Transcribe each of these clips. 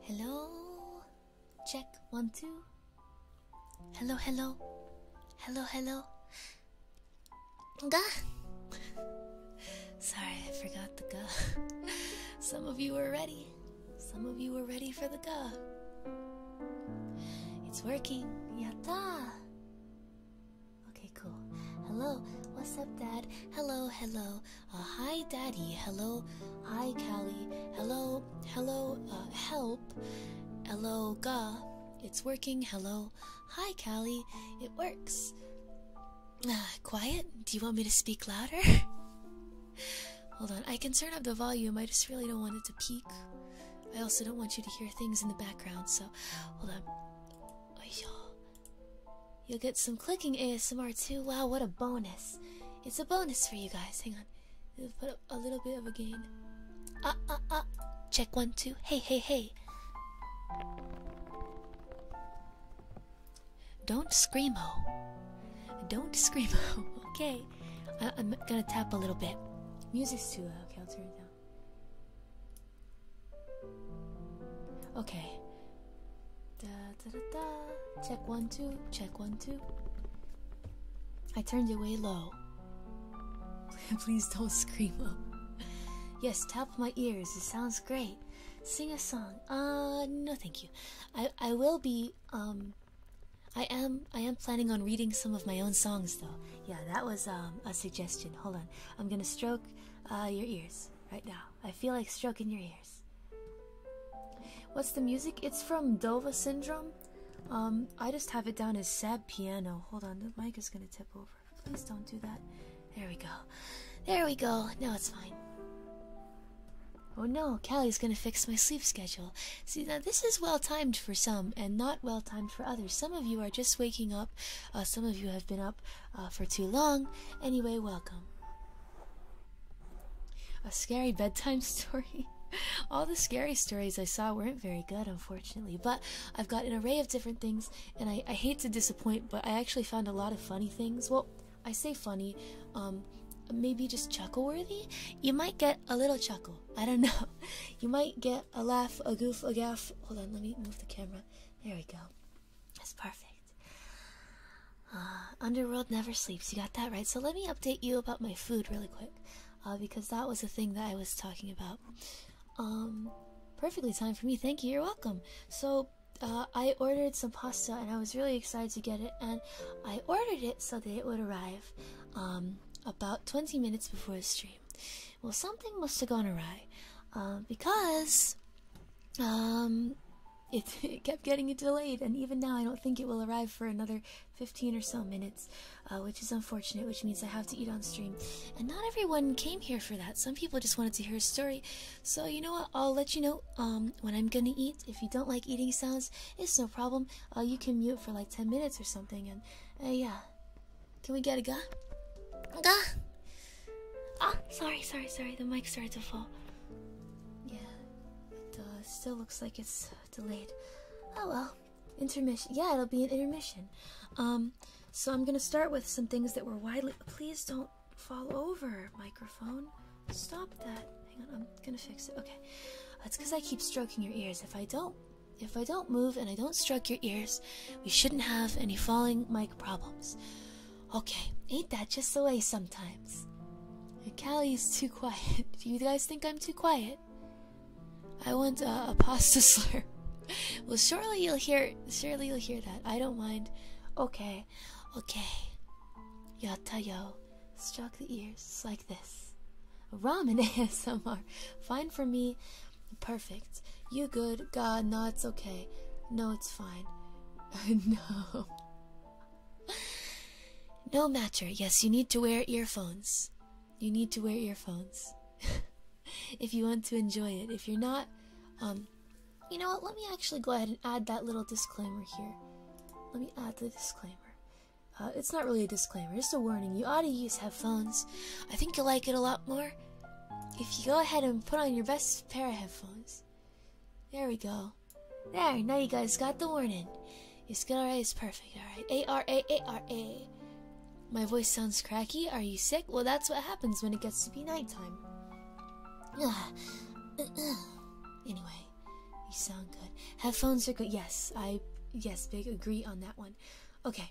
Hello. Check one, two. Hello, hello. Hello, hello. Ga. Sorry, I forgot the ga. Some of you were ready. Some of you were ready for the ga. It's working. Yatta. Okay, cool. Hello, what's up, Dad? Hello, hello. Uh, hi, Daddy. Hello, hi, Callie. Hello, hello. Uh, help. Hello, ga. It's working. Hello, hi, Callie. It works. Uh, quiet. Do you want me to speak louder? Hold on. I can turn up the volume. I just really don't want it to peak. I also don't want you to hear things in the background, so hold on. You'll get some clicking ASMR too. Wow, what a bonus! It's a bonus for you guys. Hang on, It'll put up a little bit of a gain. Ah uh, ah uh, ah! Uh. Check one two. Hey hey hey! Don't screamo. Don't screamo. Okay, I'm gonna tap a little bit. Music's too loud. Okay, I'll turn it down. Okay. Da, da, da, Check one, two. Check one, two. I turned it way low. Please don't scream Yes, tap my ears. It sounds great. Sing a song. Uh, no, thank you. I I will be um. I am I am planning on reading some of my own songs though yeah, that was um, a suggestion. Hold on, I'm gonna stroke uh, your ears right now. I feel like stroking your ears. What's the music? It's from Dova Syndrome. Um, I just have it down as sad piano. Hold on, the mic is gonna tip over. Please don't do that. There we go. There we go. No, it's fine. Oh no, Kelly's gonna fix my sleep schedule. See, now this is well timed for some and not well timed for others. Some of you are just waking up uh, some of you have been up uh, for too long. Anyway, welcome. A scary bedtime story. All the scary stories I saw weren't very good, unfortunately, but I've got an array of different things, and I, I hate to disappoint, but I actually found a lot of funny things. Well, I say funny, um, maybe just chuckle worthy. You might get a little chuckle. I don't know. You might get a, laugh, a goof, a gaff. Hold on, let me move the camera. There we go. That's perfect. Uh, Underworld never sleeps. You got that right. So let me update you about my food really quick, uh, because that was the thing that I was talking about. Um, perfectly timed for me. Thank you. You're welcome. So uh, I ordered some pasta, and I was really excited to get it. And I ordered it so that it would arrive um, about 20 minutes before the stream. Well, something must have gone awry, uh, because um, it, kept getting delayed, and even now I don't think it will arrive for another 15 or so minutes, uh, which is unfortunate, which means I have to eat on stream. And not everyone came here for that. Some people just wanted to hear a story. So you know what? I'll let you know um, when I'm gonna eat. If you don't like eating sounds, it's no problem. Uh, you can mute for like 10 minutes or something, and yeah, can we get a go? Go. Oh, sorry, sorry, sorry. The mic started to fall. Yeah, it uh, still looks like it's uh, delayed. Oh well, intermission. Yeah, it'll be an intermission. Um, so I'm gonna start with some things that were widely. Please don't fall over, microphone. Stop that. Hang on, I'm gonna fix it. Okay, that's uh, because I keep stroking your ears. If I don't, if I don't move and I don't stroke your ears, we shouldn't have any falling mic problems. Okay, ain't that just the way sometimes? Uh, Callie's too quiet. Do you guys think I'm too quiet? I want uh, a pasta slur. well, surely you'll hear. Surely you'll hear that. I don't mind. Okay, okay. Yata yo, stroke the ears like this. Ramen ASMR, fine for me. Perfect. You good. God, no, it's okay. No, it's fine. no. No matcher. Yes, you need to wear earphones. You need to wear earphones. if you want to enjoy it. If you're not, um, you know what? Let me actually go ahead and add that little disclaimer here. Let me add the disclaimer. Uh, it's not really a disclaimer, It's a warning. You ought to use headphones. I think you'll like it a lot more if you go ahead and put on your best pair of headphones. There we go. There, now you guys got the warning. Your skill RA is perfect, alright? A R A A R A. My voice sounds cracky. Are you sick? Well, that's what happens when it gets to be nighttime. anyway, you sound good. Headphones are good. Yes, I, yes, big agree on that one. Okay.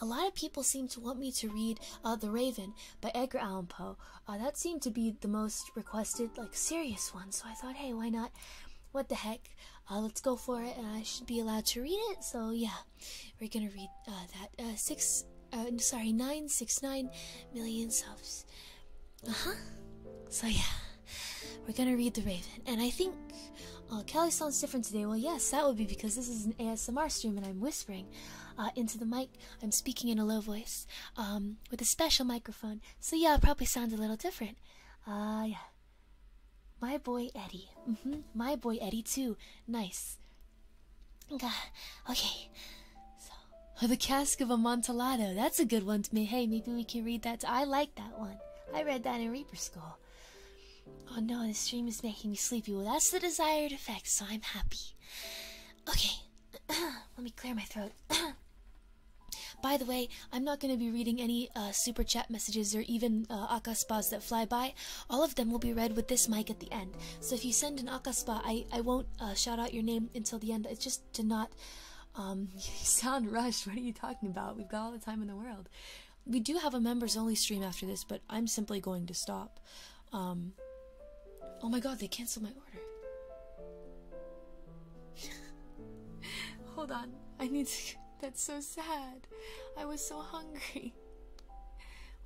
a lot of people seem to want me to read uh, *The Raven* by Edgar Allan Poe. Uh, that seemed to be the most requested, like serious one. So I thought, hey, why not? What the heck? Uh, let's go for it. And I should be allowed to read it. So yeah, we're gonna read that. six, uh, sorry, nine, six, nine million subs. Uh huh. So yeah, we're gonna read *The Raven*, and I think uh, Kelly sounds different today. Well, yes, that would be because this is an ASMR stream and I'm whispering uh, into the mic. I'm speaking in a low voice um, with a special microphone. So, yeah, it probably sounds a little different. Ah, yeah. My boy Eddie. Mm -hmm. My boy Eddie, too. Nice. Okay. So, the Cask of Amontillado. That's a good one to me. Hey, maybe we can read that. I like that one. I read that in Reaper School. Oh no, this dream is making me sleepy. Well, that's the desired effect, so I'm happy. Okay, let me clear my throat. By the way, I'm not going to be reading any uh, super chat messages or even uh, akaspas that fly by. All of them will be read with this mic at the end. So if you send an akaspa, I, I won't uh, shout out your name until the end. It's just to not um, sound rushed. What are you talking about? We've got all the time in the world. We do have a members only stream after this, but I'm simply going to stop. Um, oh my god, they canceled my order. Hold on, I need to. That's so sad. I was so hungry.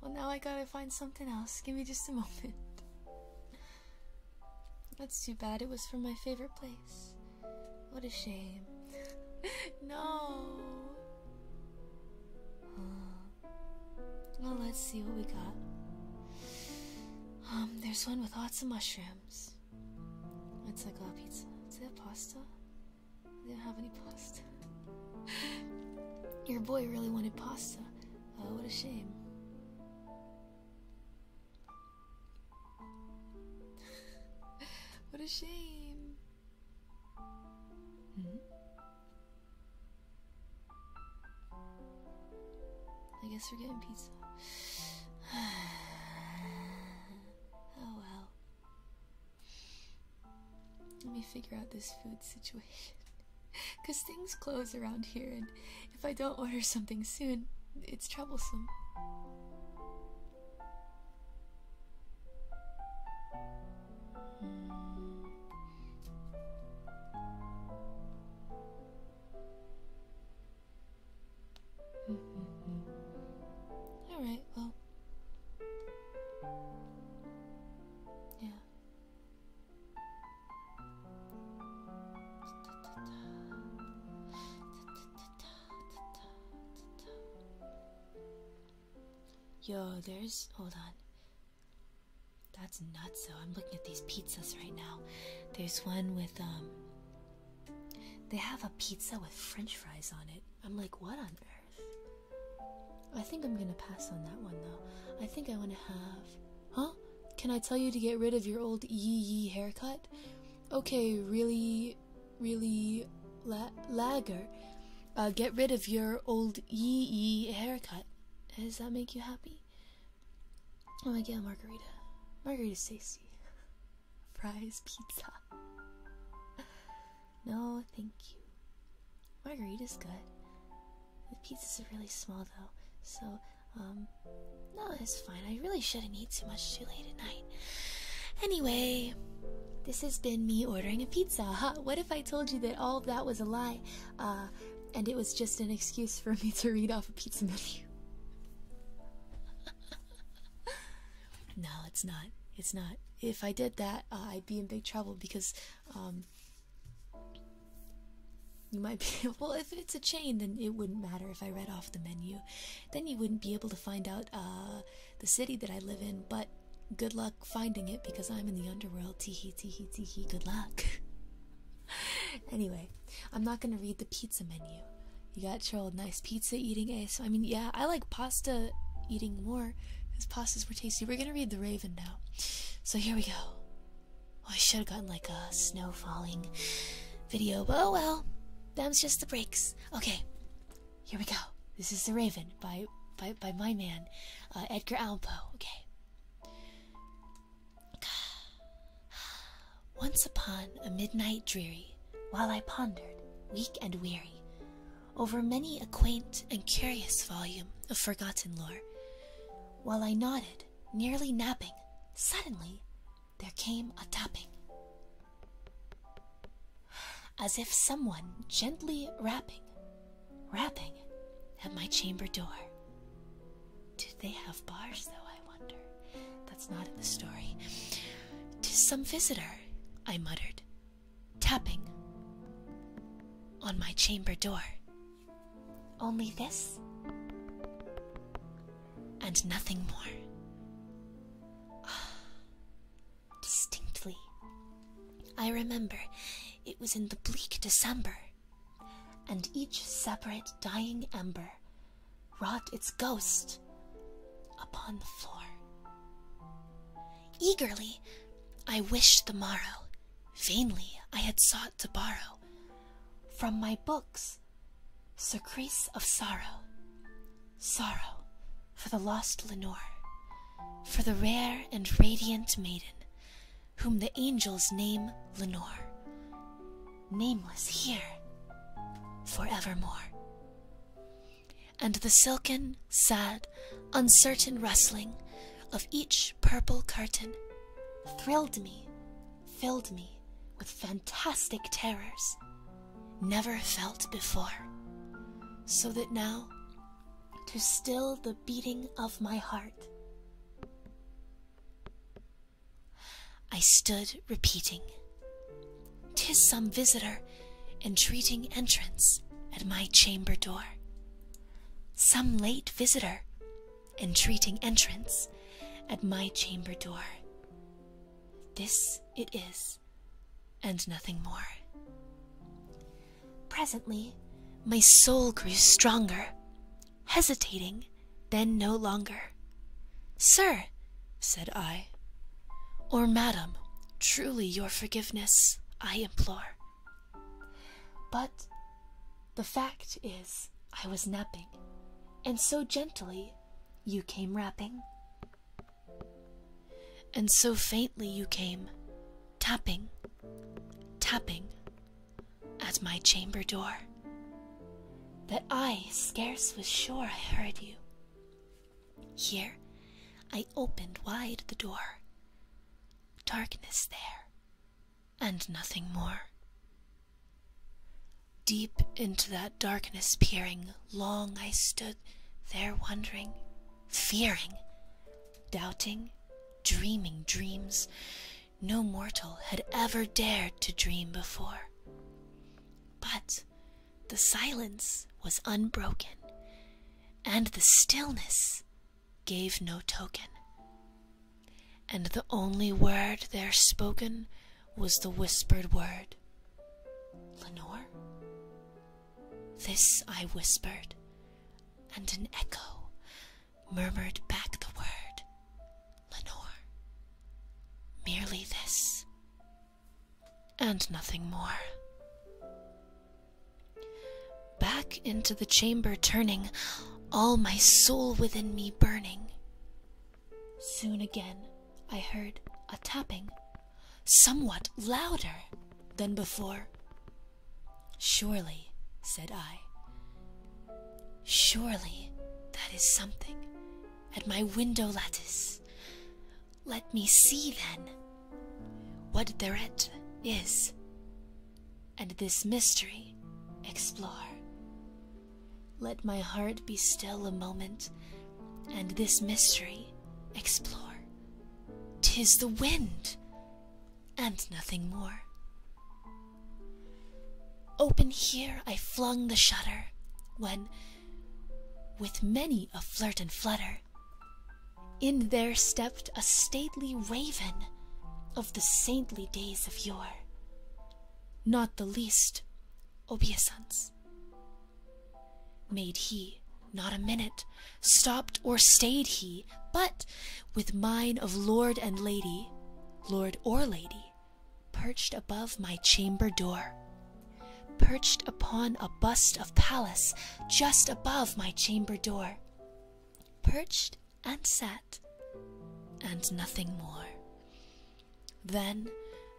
Well, now I gotta find something else. Give me just a moment. That's too bad. It was from my favorite place. What a shame. no. Well, let's see what we got. Um, there's one with lots of mushrooms. It's like a pizza. Is it pasta? I didn't have any pasta. Your boy really wanted pasta. Oh, what a shame. what a shame. Hmm? I guess we're getting pizza. oh well. Let me figure out this food situation. Because things close around here, and if I don't order something soon, it's troublesome. Mm -hmm. All right, well, yeah. Yo, there's. Hold on. That's nuts, So I'm looking at these pizzas right now. There's one with, um. They have a pizza with french fries on it. I'm like, what on earth? I think I'm gonna pass on that one, though. I think I wanna have. Huh? Can I tell you to get rid of your old yee yee haircut? Okay, really, really la lagger. Uh, get rid of your old yee haircut. Does that make you happy? Oh my god, margarita. Margarita Stacy. Fries, pizza. no, thank you. Margarita is good. The pizzas are really small though, so, um, no, it's fine. I really shouldn't eat too much too late at night. Anyway, this has been me ordering a pizza. Huh? What if I told you that all that was a lie? Uh, and it was just an excuse for me to read off a pizza menu. no, it's not. It's not. If I did that, uh, I'd be in big trouble because um, you might be. Well, if it's a chain, then it wouldn't matter if I read off the menu then you wouldn't be able to find out uh, the city that I live in. But good luck finding it because I'm in the underworld. Teehee, teehee, teehee. Good luck. anyway, I'm not going to read the pizza menu. You got your old nice pizza eating ace. I mean, yeah, I like pasta eating more because pastas were tasty. We're going to read The Raven now. So here we go. Oh, I should have gotten like a snow falling video, oh well. Them's just the breaks. Okay, here we go. This is The Raven by by by my man, uh, Edgar Allan Poe. Okay. Once upon a midnight dreary, while I pondered, weak and weary, over many a quaint and curious volume of forgotten lore, while I nodded, nearly napping, suddenly there came a tapping as if someone gently rapping, rapping at my chamber door. Do they have bars, though? I wonder. That's not in the story. Tis some visitor, I muttered, tapping on my chamber door. Only this and nothing more distinctly. I remember it was in the bleak December, and each separate dying ember wrought its ghost upon the floor. Eagerly I wished the morrow, vainly I had sought to borrow from my books surcease of sorrow, sorrow for the lost Lenore, for the rare and radiant maiden, whom the angels name Lenore, nameless here forevermore. And the silken, sad, uncertain rustling of each purple curtain thrilled me, filled me with fantastic terrors never felt before, so that now, to still the beating of my heart, I stood repeating, "'Tis some visitor entreating entrance at my chamber door, some late visitor entreating entrance at my chamber door. This it is and nothing more. Presently, my soul grew stronger, hesitating, then no longer. Sir, said I, or madam, truly your forgiveness I implore. But the fact is, I was napping, and so gently you came rapping. And so faintly you came, tapping, tapping at my chamber door, that I scarce was sure I heard you. Here I opened wide the door. Darkness there, and nothing more. Deep into that darkness peering, long I stood. There, wondering, fearing, doubting, dreaming dreams no mortal had ever dared to dream before. But the silence was unbroken, and the stillness gave no token. And the only word there spoken was the whispered word Lenore? This I whispered, and an echo murmured back the word, Lenore. Merely this, and nothing more. Back into the chamber turning, all my soul within me burning. Soon again I heard a tapping somewhat louder than before. Surely, said I, surely that is something at my window lattice. Let me see then what thereat is, and this mystery explore. Let my heart be still a moment and this mystery explore. Tis the wind, and nothing more. Open here I flung the shutter, when, with many a flirt and flutter, in there stepped a stately raven of the saintly days of yore, not the least obeisance. Made he not a minute, stopped or stayed he, but with mine of lord and lady, lord or lady, perched above my chamber door, perched upon a bust of Pallas just above my chamber door, perched and sat, and nothing more. Then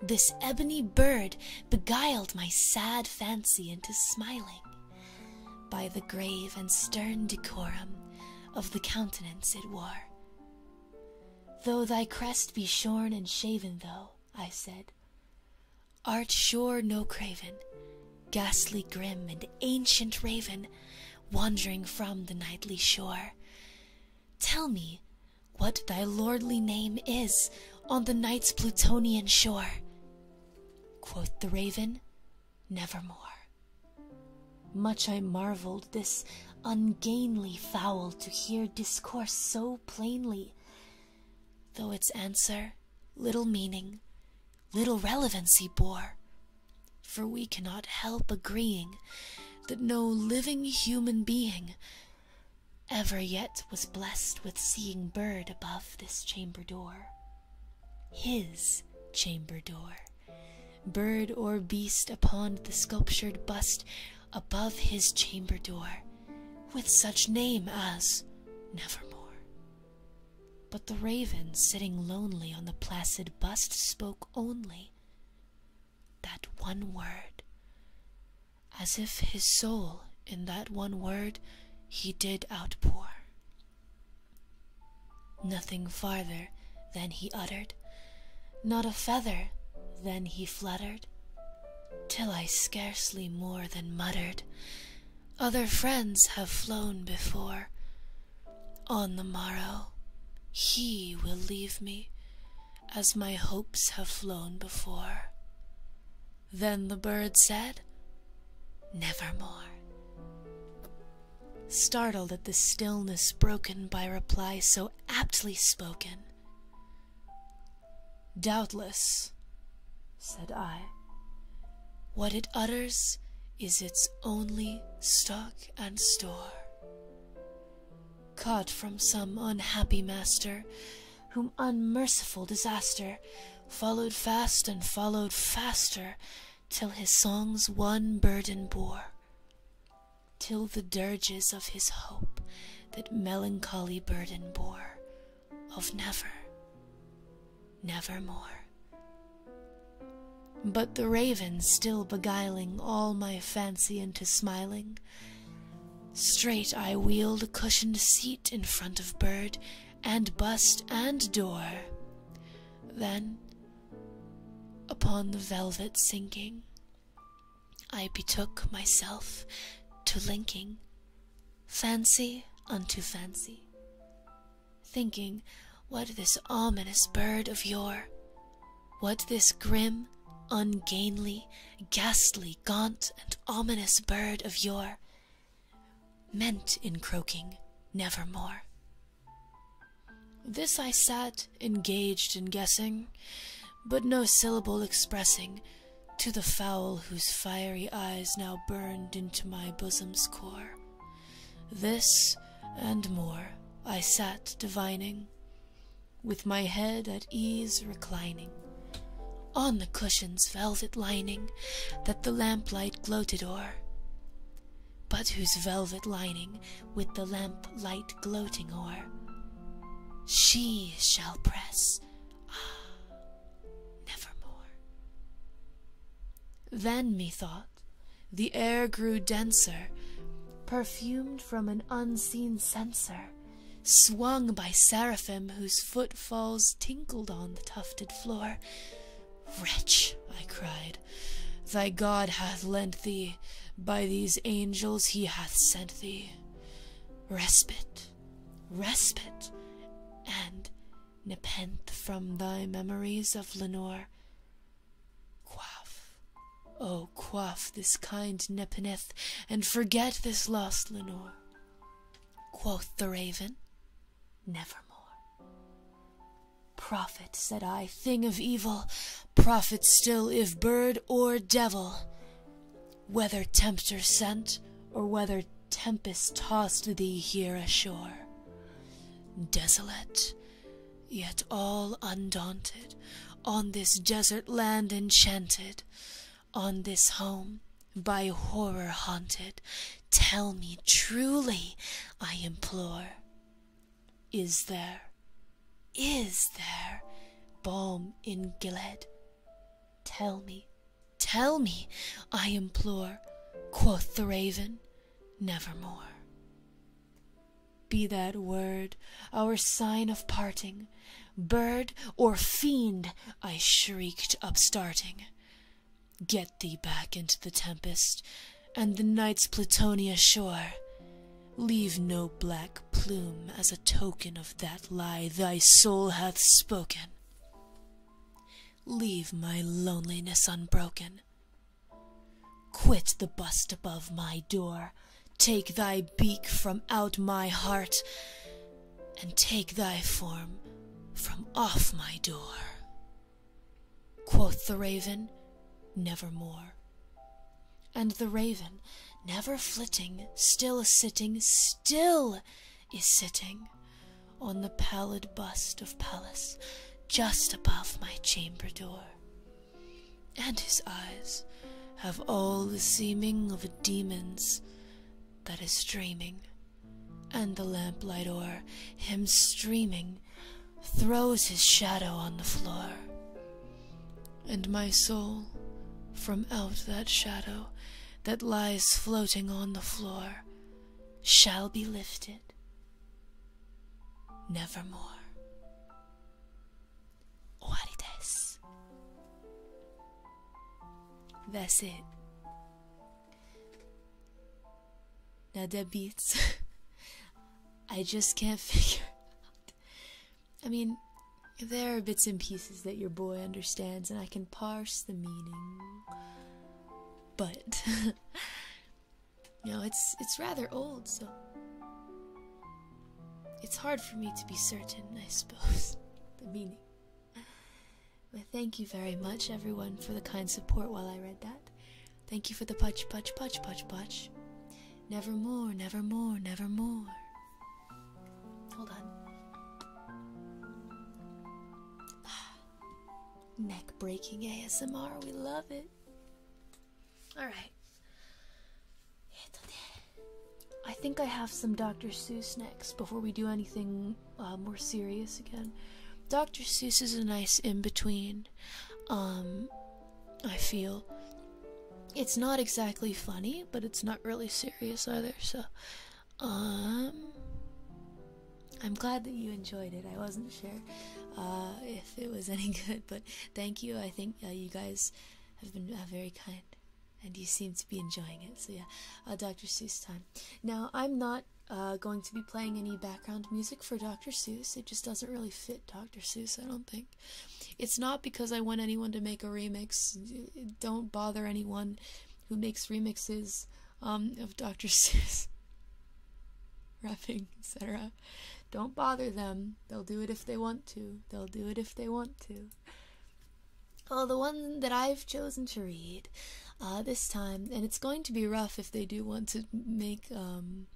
this ebony bird beguiled my sad fancy into smiling by the grave and stern decorum of the countenance it wore. Though thy crest be shorn and shaven, though, I said, art sure no craven, ghastly grim and ancient raven, wandering from the nightly shore. Tell me what thy lordly name is, on the night's Plutonian shore. Quoth the raven, Nevermore. Much I marveled this ungainly fowl to hear discourse so plainly, though its answer little meaning, little relevancy bore. For we cannot help agreeing that no living human being ever yet was blessed with seeing bird above this chamber door. His chamber door, bird or beast upon the sculptured bust above his chamber door, with such name as Nevermore. But the raven sitting lonely on the placid bust spoke only that one word as if his soul in that one word he did outpour. Nothing farther than he uttered, not a feather than he fluttered, till I scarcely more than muttered, Other friends have flown before. On the morrow, he will leave me, as my hopes have flown before. Then the bird said, Nevermore. Startled at the stillness broken by reply so aptly spoken. Doubtless, said I, what it utters is its only stock and store. Caught from some unhappy master, whom unmerciful disaster followed fast and followed faster till his songs one burden bore till the dirges of his hope that melancholy burden bore of never nevermore but the raven still beguiling all my fancy into smiling Straight I wheeled a cushioned seat in front of bird and bust and door. Then, upon the velvet sinking, I betook myself to linking fancy unto fancy, thinking what this ominous bird of yore, what this grim, ungainly, ghastly, gaunt, and ominous bird of yore meant in croaking nevermore. This I sat engaged in guessing, but no syllable expressing to the fowl whose fiery eyes now burned into my bosom's core. This and more I sat divining, with my head at ease reclining, on the cushion's velvet lining that the lamplight gloated o'er, but whose velvet lining with the lamplight gloating o'er she shall press, ah, nevermore. Then, methought, the air grew denser, perfumed from an unseen censer swung by seraphim whose footfalls tinkled on the tufted floor. Wretch, I cried, thy God hath lent thee, by these angels he hath sent thee. Respite, respite, and nepenthe from thy memories of Lenore. Quaff, oh, quaff this kind nepenthe, and forget this lost Lenore. Quoth the raven, Nevermore. Prophet, said I, thing of evil, prophet still, if bird or devil. Whether tempter sent, or whether tempest tossed thee here ashore. Desolate, yet all undaunted, on this desert land enchanted, on this home by horror haunted tell me truly i implore is there is there balm in gilead tell me tell me i implore quoth the raven nevermore be that word our sign of parting bird or fiend, I shrieked, upstarting. Get thee back into the tempest and the night's Plutonia shore. Leave no black plume as a token of that lie thy soul hath spoken. Leave my loneliness unbroken. Quit the bust above my door. Take thy beak from out my heart and take thy form from off my door. Quoth the raven, Nevermore. And the raven, never flitting, still sitting, still is sitting on the pallid bust of Pallas just above my chamber door. And his eyes have all the seeming of a demon's that is dreaming and the lamplight o'er him streaming throws his shadow on the floor. And my soul, from out that shadow that lies floating on the floor, shall be lifted nevermore. 終わりです。that's it. Now the beats. I just can't figure out. I mean, there are bits and pieces that your boy understands, and I can parse the meaning. But you know, it's it's rather old, so it's hard for me to be certain, I suppose, the meaning thank you very much, everyone, for the kind support while I read that. Thank you for the putch, putch, Never more, never more, never more. Hold on. neck breaking ASMR, we love it. Alright. I think I have some Dr. Seuss next before we do anything become uh, more serious again. Dr. Seuss is a nice in between. Um, I feel it's not exactly funny, but it's not really serious either. So, um, I'm glad that you enjoyed it. I wasn't sure uh, if it was any good, but thank you. I think uh, you guys have been very kind and you seem to be enjoying it. So yeah, uh, Dr. Seuss time. Now I'm not uh, going to be playing any background music for Dr. Seuss. It just doesn't really fit Dr. Seuss. I don't think. It's not because I want anyone to make a remix. Don't bother anyone who makes remixes um, of Dr. Seuss. Rapping, etc. Don't bother them. They'll do it if they want to. They'll do it if they want to you. Oh, the one that I've chosen to read uh, this time, and it's going to be rough if they do want to make, um,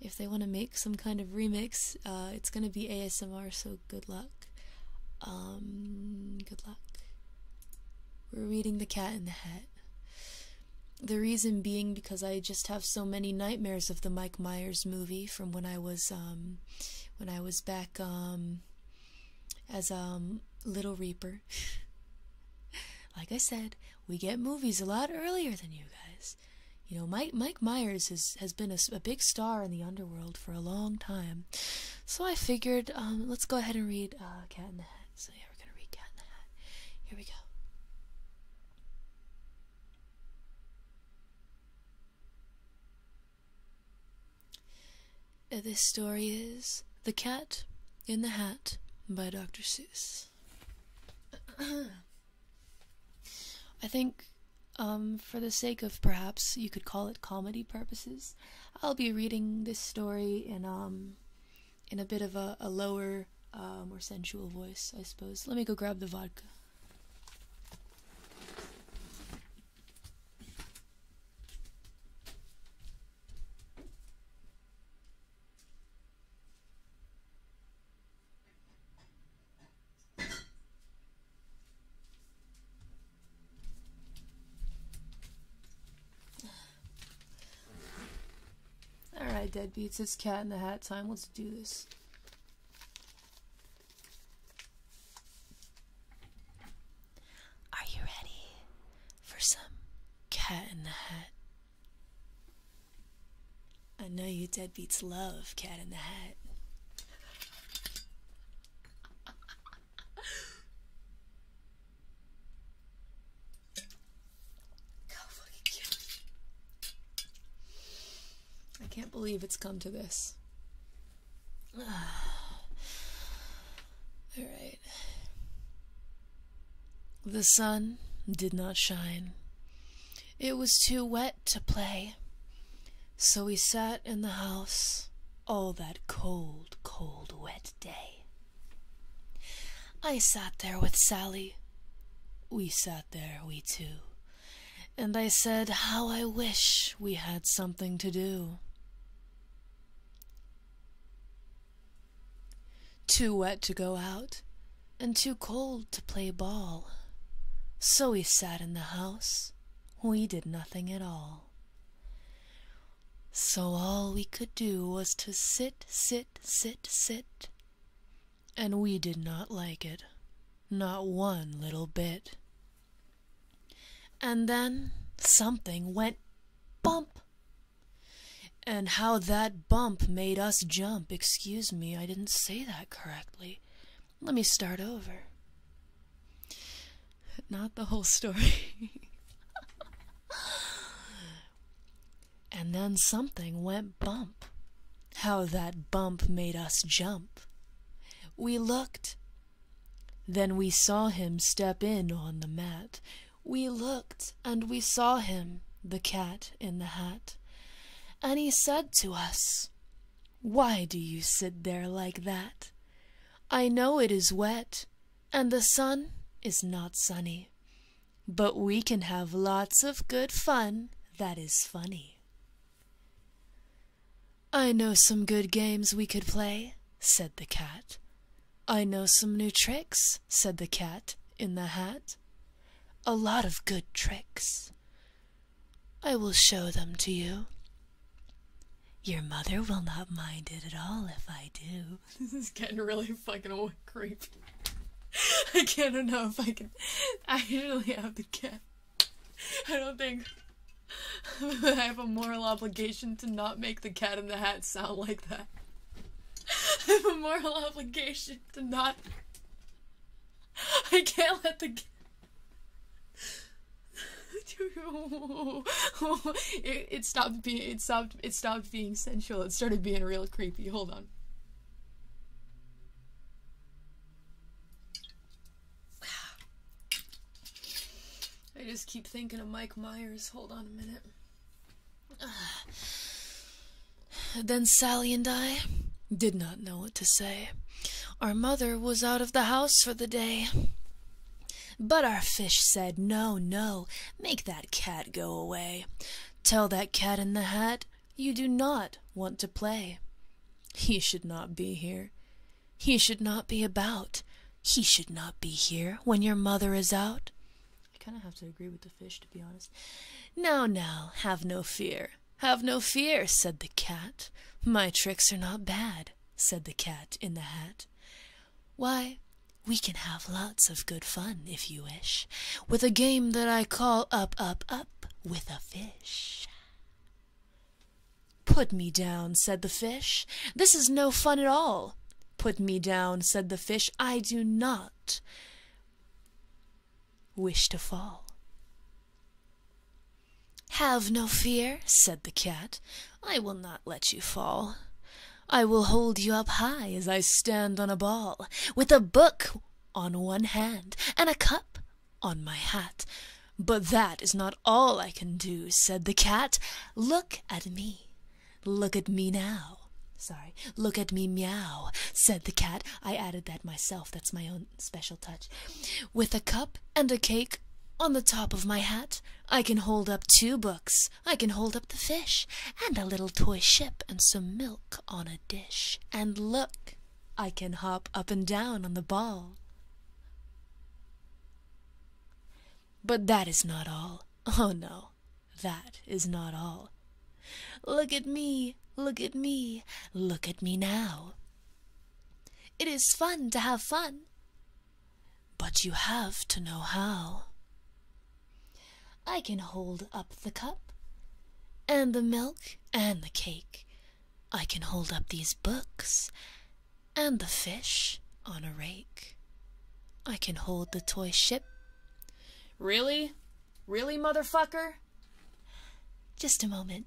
if they want to make some kind of remix. Uh, it's going to be ASMR, so good luck. Um, good luck. We're reading The Cat in the Hat. The reason being because I just have so many nightmares of the Mike Myers movie from when I was um when I was back um as um Little Reaper. like I said, we get movies a lot earlier than you guys. You know, Mike Mike Myers has has been a, big star in the underworld for a long time, so I figured um, let's go ahead and read uh, Cat in the Hat. So yeah, we're gonna read Cat in the Hat. Here we go. Uh, this story is The Cat in the Hat by Dr. Seuss. I think, um, for the sake of perhaps you could call it comedy purposes, I'll be reading this story in, um, in a bit of a, lower, uh, more sensual voice, I suppose. Let me go grab the vodka. Alright, deadbeats, it's cat in the hat time. Let's do this. Are you ready for some cat in the hat? I know you deadbeats love cat in the hat. I can't believe it's come to this. All right. The sun did not shine. It was too wet to play. So we sat in the house all that cold, cold, wet day. I sat there with Sally. We sat there, we two. And I said how I wish we had something to do. Too wet to go out, and too cold to play ball. So we sat in the house, we did nothing at all. So all we could do was to sit, sit, sit, sit. And we did not like it, not one little bit. And then something went bump. And how that bump made us jump. Excuse me, I didn't say that correctly. Let me start over. Not the whole story. and then something went bump. How that bump made us jump. We looked, then we saw him step in on the mat. We looked and we saw him, the cat in the hat. And he said to us, Why do you sit there like that? I know it is wet, and the sun is not sunny. But we can have lots of good fun that is funny. I know some good games we could play, said the cat. I know some new tricks, said the cat in the hat. A lot of good tricks. I will show them to you. Your mother will not mind it at all if I do. This is getting really fucking old creep. I can't know if I can. I really have the cat. I don't think. I have a moral obligation to not make the cat in the hat sound like that. I have a moral obligation to not. I can't let the. it, it stopped being it stopped it stopped being sensual. It started being real creepy. Hold on. I just keep thinking of Mike Myers. Hold on a minute. Then Sally and I did not know what to say. Our mother was out of the house for the day. But our fish said, No, no, make that cat go away. Tell that cat in the hat you do not want to play. He should not be here. He should not be about. He should not be here when your mother is out. I kind of have to agree with the fish, to be honest. Now, now, have no fear. Have no fear, said the cat. My tricks are not bad, said the cat in the hat. Why, we can have lots of good fun, if you wish, with a game that I call Up, Up, Up with a Fish. Put me down, said the fish. This is no fun at all. Put me down, said the fish. I do not wish to fall. Have no fear, said the cat. I will not let you fall. I will hold you up high as I stand on a ball, with a book on one hand and a cup on my hat. But that is not all I can do, said the cat. Look Look at me. Look at me now. Sorry. Look at me meow, said the cat. I added that myself. That's my own special touch. With a cup and a cake on the top of my hat, I can hold up two books. I can hold up the fish and a little toy ship and some milk on a dish. And look, I can hop up and down on the ball. But that is not all. Oh no, that is not all. Look at me, look at me, look at me now. It is fun to have fun, but you have to know how. I can hold up the cup, and the milk, and the cake. I can hold up these books, and the fish on a rake. I can hold the toy ship. Really? Really, motherfucker? Just a moment.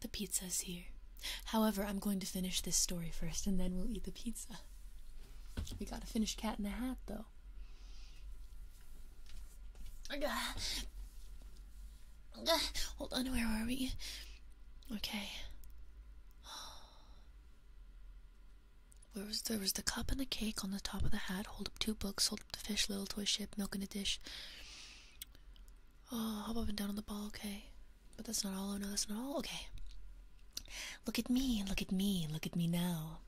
The pizza's here. However, I'm going to finish this story first and then we'll eat the pizza. We gotta finish Cat in the Hat though. Hold on, where are we? Okay. Where was there was the cup and the cake on the top of the hat. Hold up two books. Hold up the fish, little toy ship, milk in a dish. Oh, hop up and down on the ball. Okay. But that's not all. Oh no, that's not all. Okay. Look at me. Look at me. Look at me now.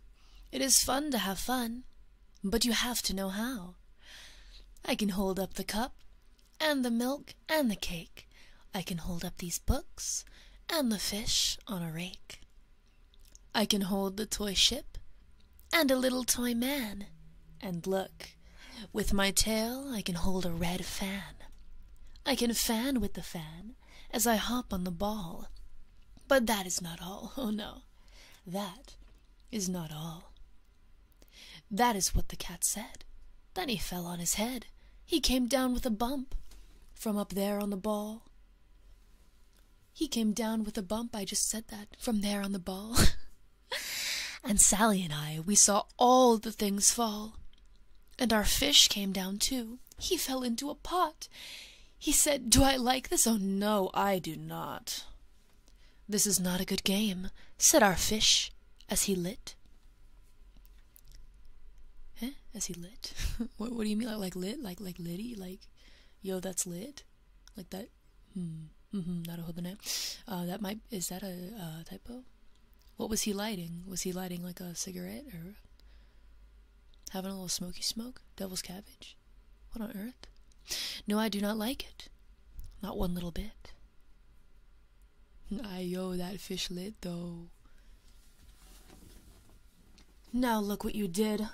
It is fun to have fun, but you have to know how. I can hold up the cup, and the milk, and the cake. I can hold up these books, and the fish on a rake. I can hold the toy ship, and a little toy man. And look, with my tail, I can hold a red fan. I can fan with the fan as I hop on the ball. But that is not all. Oh no, that is not all. That is what the cat said. Then he fell on his head. He came down with a bump from up there on the ball. He came down with a bump. I just said that from there on the ball. And Sally and I, we saw all the things fall. And our fish came down too. He fell into a pot. He said, Do I like this? Oh, no, I do not. This is not a good game, said our fish as he lit. Eh? As he lit? what, do you mean? Like, like lit? Like, like litty? Like, yo, that's lit? Like that? Hmm. Mm-hmm. Not a hobane. Uh, that might, is that a uh, typo? What was he lighting? Was he lighting like a cigarette or having a little smoky smoke? Devil's cabbage? What on earth? No, I do not like it. Not one little bit. I Ayo, that fish lit though. Now look what you did,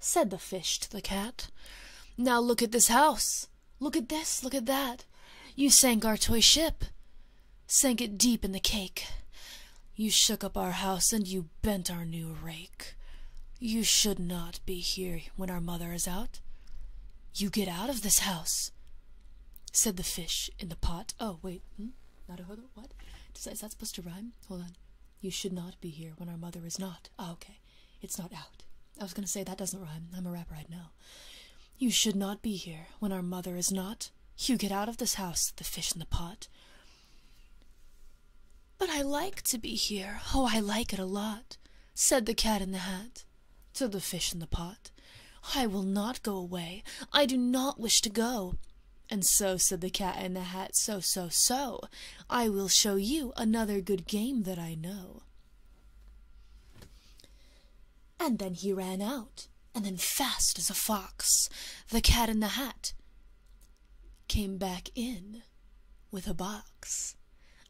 said the fish to the cat. Now look at this house. Look at this, look at that. You sank our toy ship, sank it deep in the cake. You shook up our house and you bent our new rake. You should not be here when our mother is out. You get out of this house, said the fish in the pot. Oh, wait, hmm? not a hood, what? Is that, is that supposed to rhyme? Hold on. You should not be here when our mother is not. Ah, okay. It's not out. I was gonna say that doesn't rhyme. I'm a rapper, I know. You should not be here when our mother is not. You get out of this house, the fish in the pot. But I like to be here. Oh, I like it a lot, said the cat in the hat to the fish in the pot. I will not go away. I do not wish to go. And so, said the cat in the hat, so, so, so, I will show you another good game that I know. And then he ran out, and then fast as a fox, the cat in the hat came back in with a box.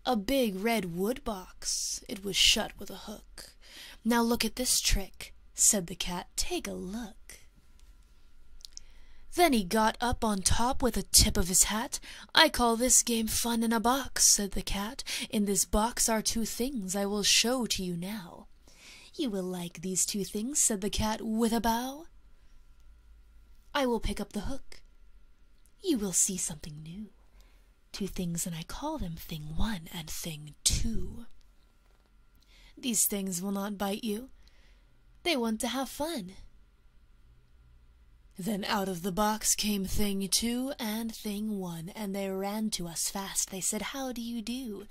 A big red wood box, it was shut with a hook. Now look at this trick, said the cat, take a look. Then he got up on top with the tip of his hat. I call this game fun in a box, said the cat in this box are two things I will show to you now. You will like these two things, said the cat with a bow. I will pick up the hook. You will see something new. Two things, and I call them thing one and thing two. These things will not bite you. They want to have fun. Then out of the box came thing two and thing one and they ran to us fast. They said, How do you do?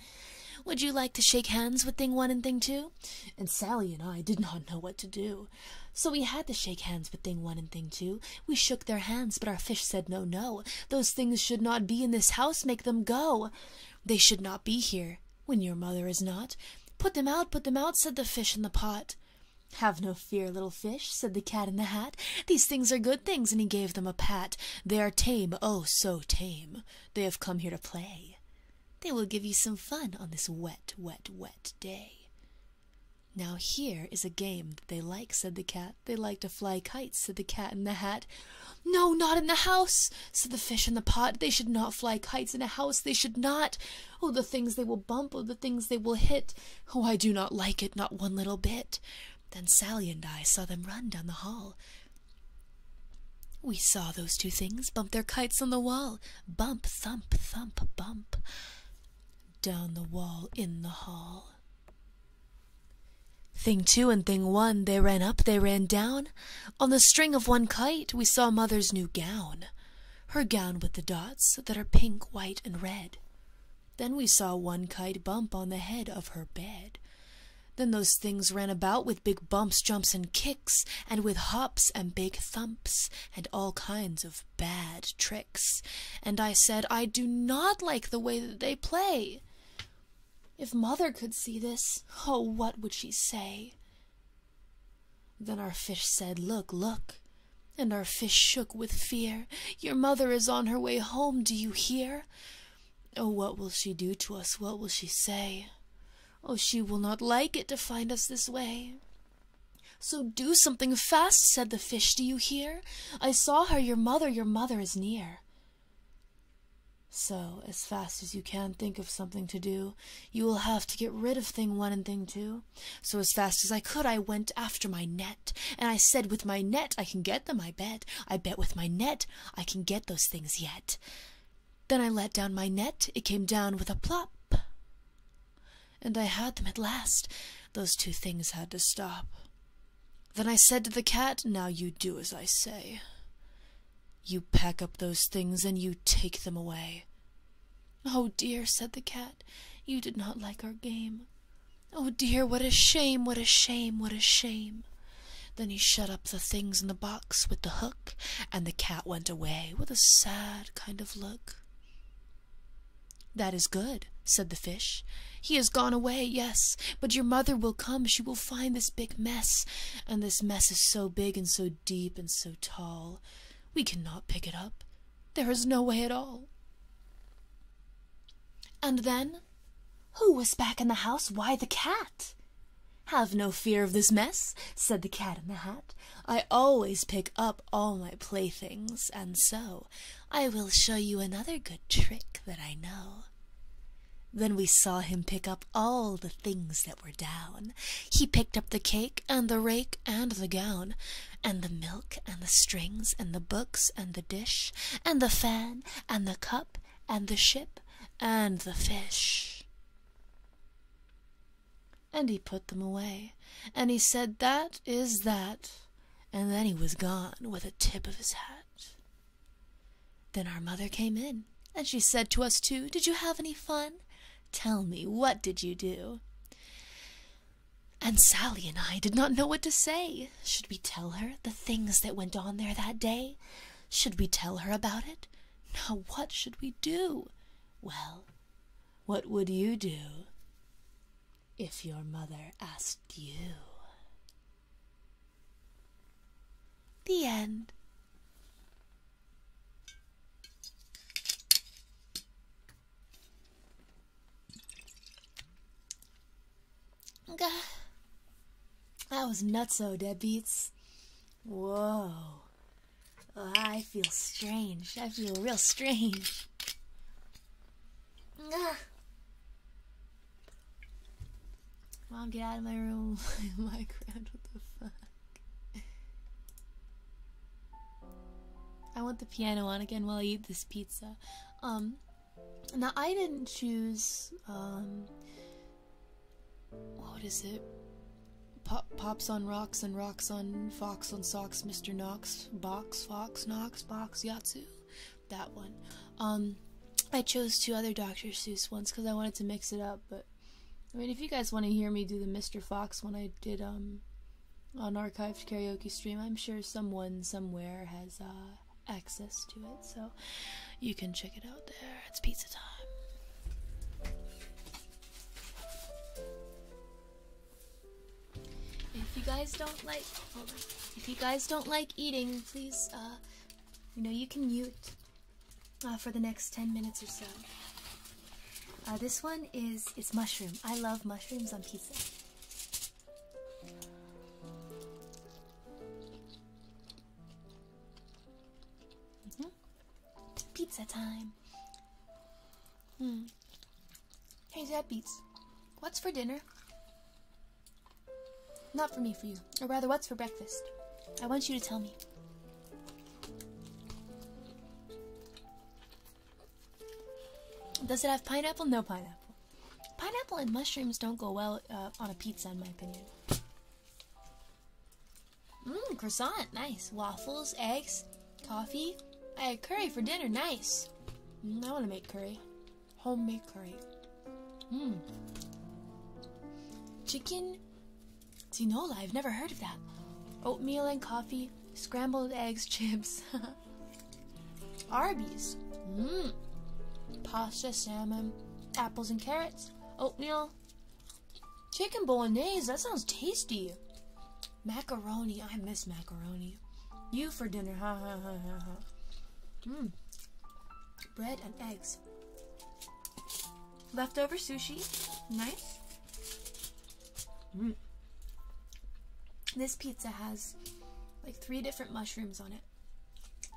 Would you like to shake hands with Thing One and Thing Two? And Sally and I did not know what to do. So we had to shake hands with Thing One and Thing Two. We shook their hands, but our fish said, No, no, those things should not be in this house. Make them go. They should not be here when your mother is not. Put them out, put them out, said the fish in the pot. Have no fear, little fish, said the cat in the hat. These things are good things, and he gave them a pat. They are tame, oh, so tame. They have come here to play. They will give you some fun on this wet, wet, wet day. Now here is a game that they like, said the cat. They like to fly kites, said the cat in the hat. No, not in the house, said the fish in the pot. They should not fly kites in a house. They should not. Oh, the things they will bump, oh, the things they will hit. Oh, I do not like it, not one little bit. Then Sally and I saw them run down the hall. We saw those two things bump their kites on the wall. Bump, thump, thump, bump. Down the wall, in the hall. Thing two and thing one, they ran up, they ran down. On the string of one kite, we saw mother's new gown. Her gown with the dots that are pink, white, and red. Then we saw one kite bump on the head of her bed. Then those things ran about with big bumps, jumps, and kicks, and with hops and big thumps, and all kinds of bad tricks. And I said, I do not like the way that they play. If mother could see this, oh, what would she say? Then our fish said, Look, look, and our fish shook with fear. Your mother is on her way home, do you hear? Oh, what will she do to us? What will she say? Oh, she will not like it to find us this way. So do something fast, said the fish. Do you hear? I saw her, your mother, your mother is near. So, as fast as you can, think of something to do. You will have to get rid of thing one and thing two. So, as fast as I could, I went after my net. And I said, With my net I can get them, I bet. I bet with my net I can get those things yet. Then I let down my net, it came down with a plop. And I had them at last. Those two things had to stop. Then I said to the cat, Now you do as I say. You pack up those things and you take them away. Oh dear, said the cat, you did not like our game. Oh dear, what a shame, what a shame, what a shame. Then he shut up the things in the box with the hook, and the cat went away with a sad kind of look. That is good, said the fish. He has gone away, yes, but your mother will come. She will find this big mess, and this mess is so big and so deep and so tall. We cannot pick it up. There is no way at all. And then, who was back in the house? Why, the cat! Have no fear of this mess, said the cat in the hat. I always pick up all my playthings, and so I will show you another good trick that I know. Then we saw him pick up all the things that were down. He picked up the cake and the rake and the gown, and the milk and the strings and the books and the dish and the fan and the cup and the ship and the fish. And he put them away, and he said, That is that. And then he was gone with a tip of his hat. Then our mother came in, and she said to us two, Did you have any fun? Tell me, what did you do? And Sally and I did not know what to say. Should we tell her the things that went on there that day? Should we tell her about it? Now, what should we do? Well, what would you do if your mother asked you? The end. Gah. That was nutso, deadbeats. Whoa. Oh, I feel strange. I feel real strange. Mom, get out of my room. My Minecraft, what the fuck? I want the piano on again while I eat this pizza. Um, now, I didn't choose, um, what is it? pops on rocks and rocks on fox on socks, Mr. Knox, box, fox, Knox, box, Yatsu. That one. Um, I chose two other Dr. Seuss ones because I wanted to mix it up, but I mean, if you guys want to hear me do the Mr. Fox one I did, um, unarchived karaoke stream. I'm sure someone somewhere has uh, access to it, so you can check it out there. It's pizza time. If you guys don't like, if you guys don't like eating, please, uh, you know, you can mute uh, for the next 10 minutes or so. this one is, it's mushroom. I love mushrooms on pizza. Mm-hmm. pizza time. Hmm. Hey, that beats. What's for dinner? Not for me, for you. Or rather, what's for breakfast? I want you to tell me. Does it have pineapple? No pineapple. Pineapple and mushrooms don't go well uh, on a pizza, in my opinion. Mmm, croissant, nice. Waffles, eggs, coffee. I had curry for dinner, nice. Mm, I want to make curry. Homemade curry. Mmm. Chicken tinola, I've never heard of that. Oatmeal and coffee, scrambled eggs, chips. Arby's. Mmm. Pasta, salmon, apples and carrots, oatmeal, chicken bolognese. That sounds tasty. Macaroni. I miss macaroni. You for dinner. Ha ha ha ha ha. Mmm. Bread and eggs. Leftover sushi. Nice. Mmm. This pizza has like three different mushrooms on it.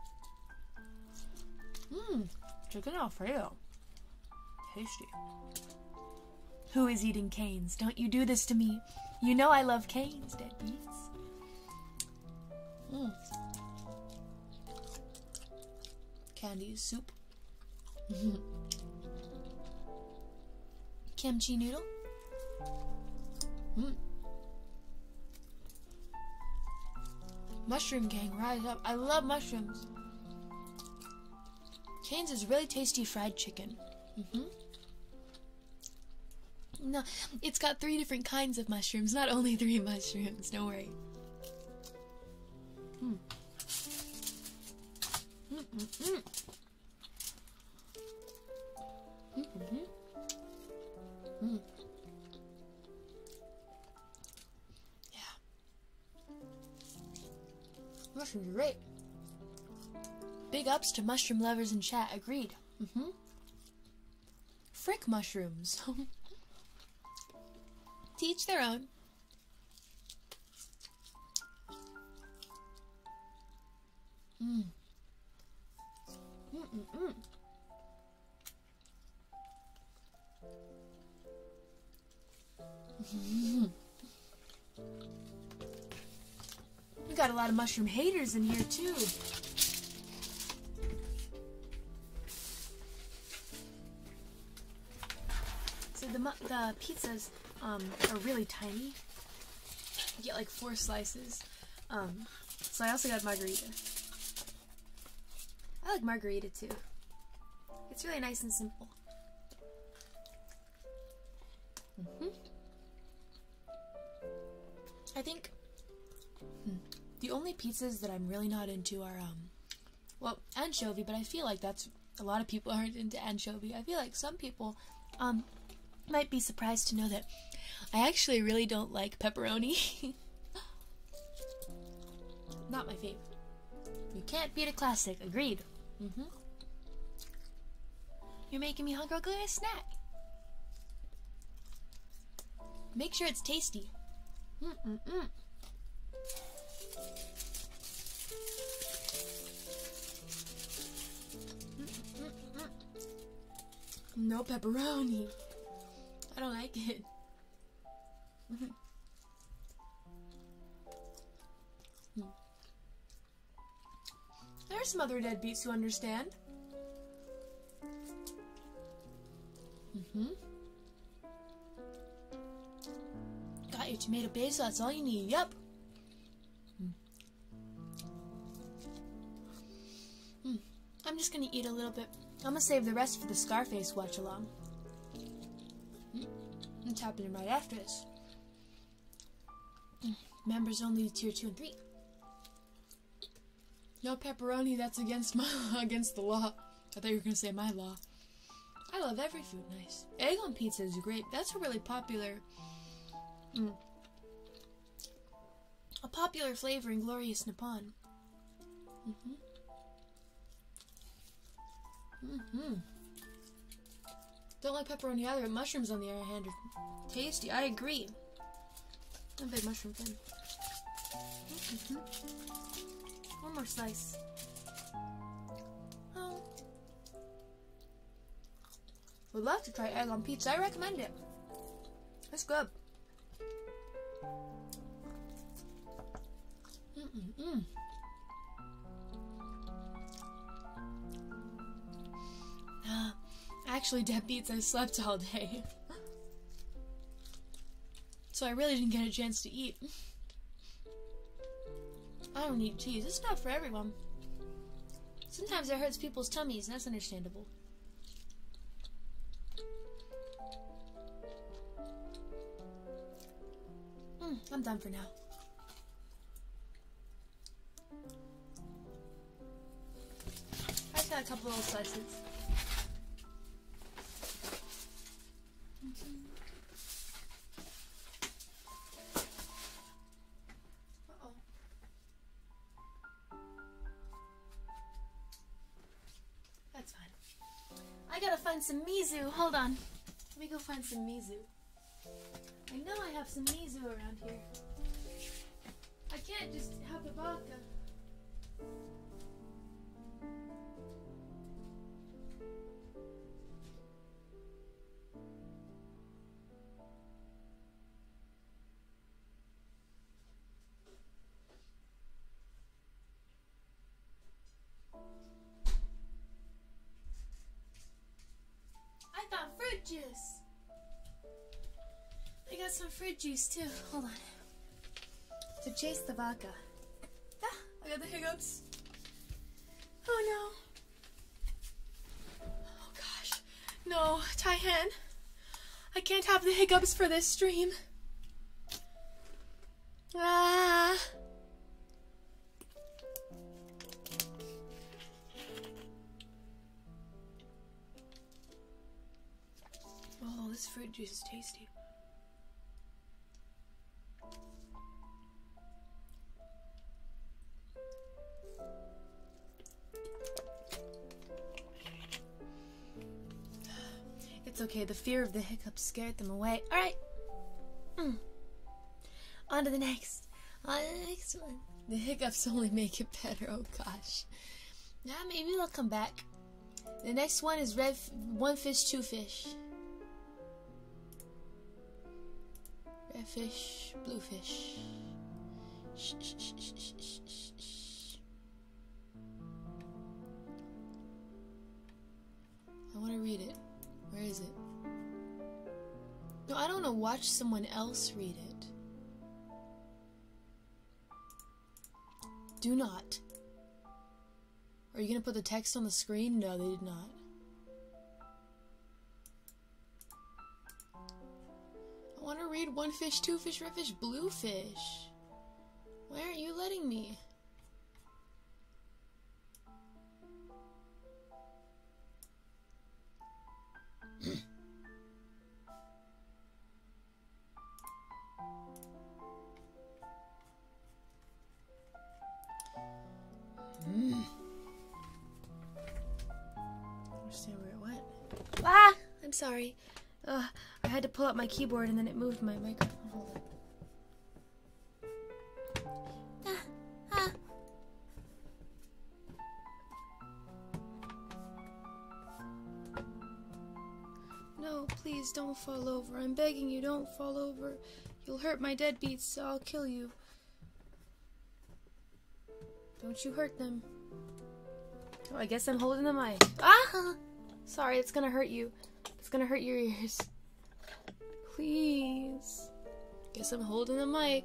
Mmm, chicken alfredo. Tasty. Who is eating canes? Don't you do this to me. You know I love canes, deadbeats. Mmm. Candy soup. kimchi noodle. Mmm. Mushroom gang, rise up. I love mushrooms. Kane's is really tasty fried chicken. Mm -hmm. No, it's got three different kinds of mushrooms, not only three mushrooms, don't worry. Mmm. Mm Mm -hmm. Yeah. Mushrooms are great. Big ups to mushroom lovers in chat. Agreed. hmm Frick mushrooms. Teach their own. Mm. Mm -mm -mm. you got a lot of mushroom haters in here too. So the the pizzas um, are really tiny. You get like four slices. Um, so I also got margarita. I like margarita too. It's really nice and simple. Mm-hmm. I think hmm, the only pizzas that I'm really not into are, um, well, anchovy, but I feel like that's a lot of people aren't into anchovy. I feel like some people um, might be surprised to know that I actually really don't like pepperoni. Not my favorite. You can't beat a classic, agreed. Mm hmm. You're making me hungry. I'll go get a snack. Make sure it's tasty. Mm -mm -mm. No pepperoni. I don't like it. There's some other deadbeats who understand. Mm-hmm. Got your tomato base, that's all you need. Yep. Hmm. I'm just gonna eat a little bit. I'm gonna save the rest for the Scarface watch along. Mm, it's happening right after this. Hmm. members only tier two and three. No pepperoni. That's against my against the law. I thought you were gonna say my law. I love every food. Nice egg on pizza is great. That's really popular. Mm a popular flavor in glorious Nippon. hmm hmm Don't like pepperoni either, mushrooms on the other hand are tasty. I agree. I'm a big mushroom fan. -hmm. One more slice. Oh. Would love to try egg on pizza. I recommend it. That's good. Mm -mm Actually, that beats I slept all day. so I really didn't get a chance to eat. I don't eat cheese. It's not for everyone. Sometimes it hurts people's tummies, and that's understandable. Hmm, I'm done for now. I just got a couple little slices. oh. That's fine. I gotta find some Mizu. Hold on. Let me go find some Mizu. I know I have some Mizu around here. I can't just have a vodka. I got fruit juice. I got some fruit juice too. Hold on. To chase the vodka. Ah, I got the hiccups. Oh no. Oh gosh. No, Taihan. I can't have the hiccups for this stream. Ah. Oh, this fruit juice is tasty. It's okay, the fear of the hiccups scared them away. Alright. Hmm. On to the next. On the next one. The hiccups only make it better, oh gosh. Yeah, maybe they'll come back. The next one is red one fish, two fish. Red fish, blue fish. Shh, shh, shh, shh, shh, shh, I want to read it. Where is it? No, I don't want to watch someone else read it. Do not. Are you going to put the text on the screen? No, they did not. I want to read one fish, two fish, red fish, blue fish. Why aren't you letting me? Hmm. Understand where it went? Ah! I'm sorry. I had to pull up my keyboard and then it moved my microphone. Ah, Hold ah. up. No, please don't fall over. I'm begging you, don't fall over. You'll hurt my deadbeats, so I'll kill you. Don't you hurt them. Oh, I guess I'm holding the mic. Ah! Sorry, it's gonna hurt you. It's gonna hurt your ears. Please. Guess I'm holding the mic.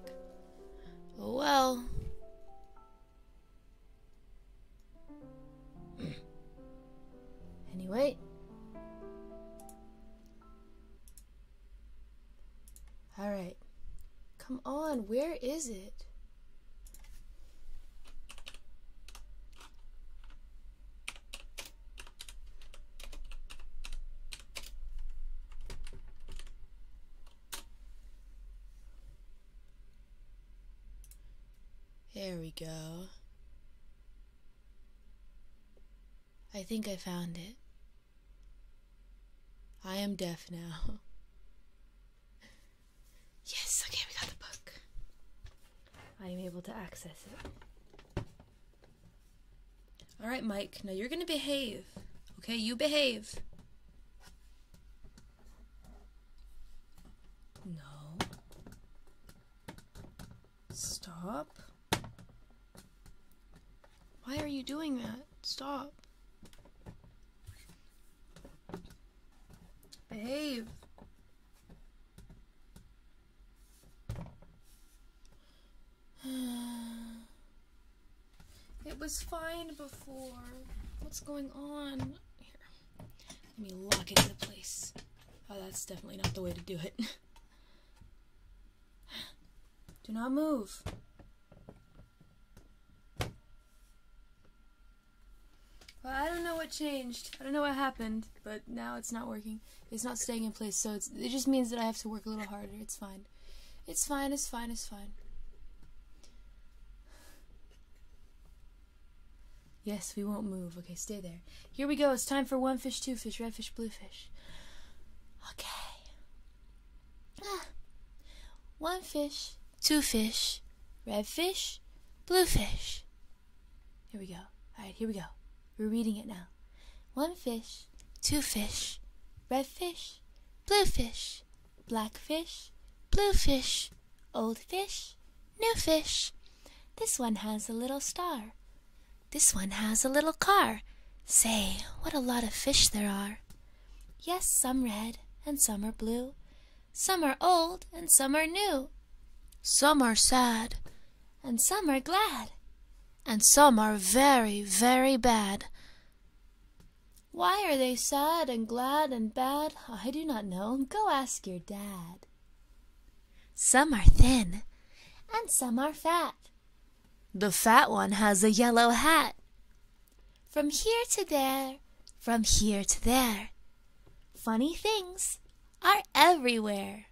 Oh well. anyway. Alright. Come on, where is it? There we go. I think I found it. I am deaf now. Yes, okay, we got the book. I am able to access it. Alright, Mike, now you're gonna behave. Okay, you behave. No. Stop. Why are you doing that? Stop. Behave. It was fine before. What's going on? Here. Let me lock it in place. Oh, that's definitely not the way to do it. do not move. Well, I don't know what changed. I don't know what happened, but now it's not working. It's not staying in place, so it just means that I have to work a little harder. It's fine. It's fine, it's fine, it's fine. Yes, we won't move. Okay, stay there. Here we go. It's time for one fish, two fish, red fish, blue fish. Okay. Ah, one fish, two fish, red fish, blue fish. Here we go. All right, here we go. We're reading it now. One fish, two fish, red fish, blue fish, black fish, blue fish, old fish, new fish. This one has a little star. This one has a little car. Say, what a lot of fish there are. Yes, some red and some are blue, some are old and some are new, some are sad and some are glad, and some are very, very bad. Why are they sad and glad and bad? I do not know. Go ask your dad. Some are thin and some are fat. The fat one has a yellow hat. From here to there, from here to there, funny things are everywhere.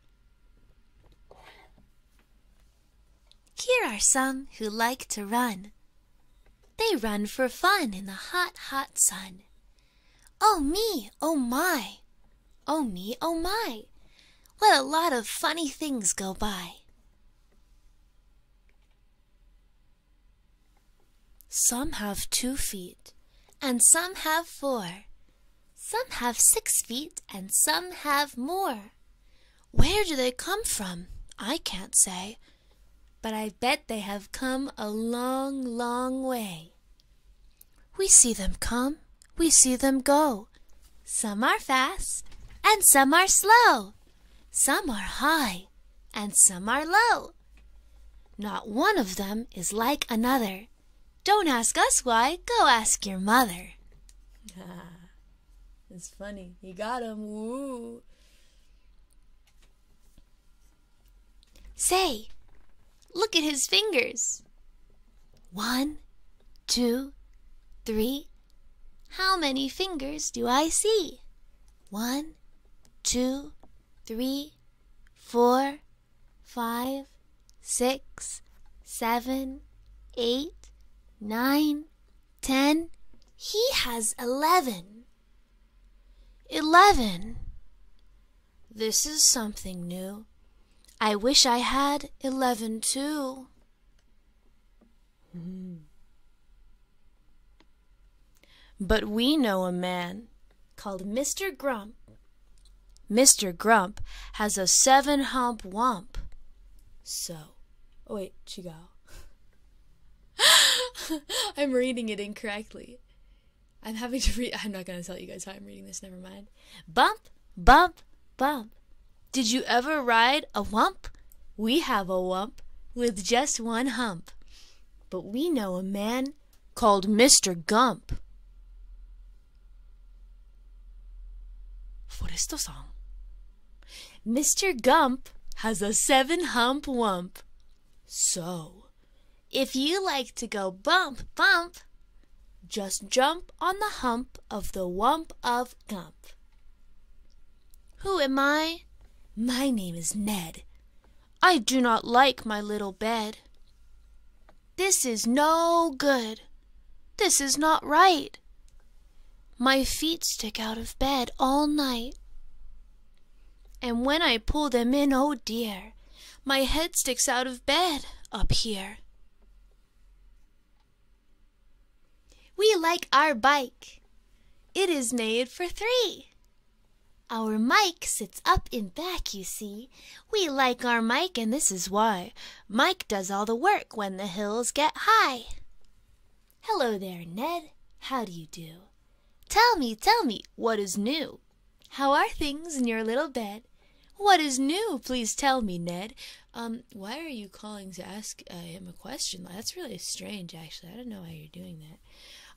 Here are some who like to run. They run for fun in the hot, hot sun. Oh me, oh my, oh me, oh my, what a lot of funny things go by. Some have two feet, and some have four. Some have six feet, and some have more. Where do they come from? I can't say, but I bet they have come a long, long way. We see them come, we see them go. Some are fast, and some are slow. Some are high and some are low. Not one of them is like another. Don't ask us why, go ask your mother. Ah, it's funny. He got him. Woo. Say, look at his fingers. One, two, three. How many fingers do I see? One, two, three, four, five, six, seven, eight, nine, ten. He has eleven. Eleven. This is something new. I wish I had eleven too. Mm. But we know a man called Mr. Grump. Mr. Grump has a seven hump wump. So, oh wait, go? I'm reading it incorrectly. I'm having to read. I'm not going to tell you guys how I'm reading this, never mind. Bump, bump, bump. Did you ever ride a wump? We have a wump with just one hump, but we know a man called Mr. Gump. Foresto song. Mr. Gump has a seven hump wump. So, if you like to go bump, bump, just jump on the hump of the wump of Gump. Who am I? My name is Ned. I do not like my little bed. This is no good. This is not right. My feet stick out of bed all night. And when I pull them in, oh dear, my head sticks out of bed up here. We like our bike. It is made for three. Our Mike sits up in back, you see. We like our Mike, and this is why. Mike does all the work when the hills get high. Hello there, Ned. How do you do? Tell me, tell me, what is new? How are things in your little bed? What is new? Please tell me, Ned. Um, why are you calling to ask uh, him a question? That's really strange, actually. I don't know why you're doing that.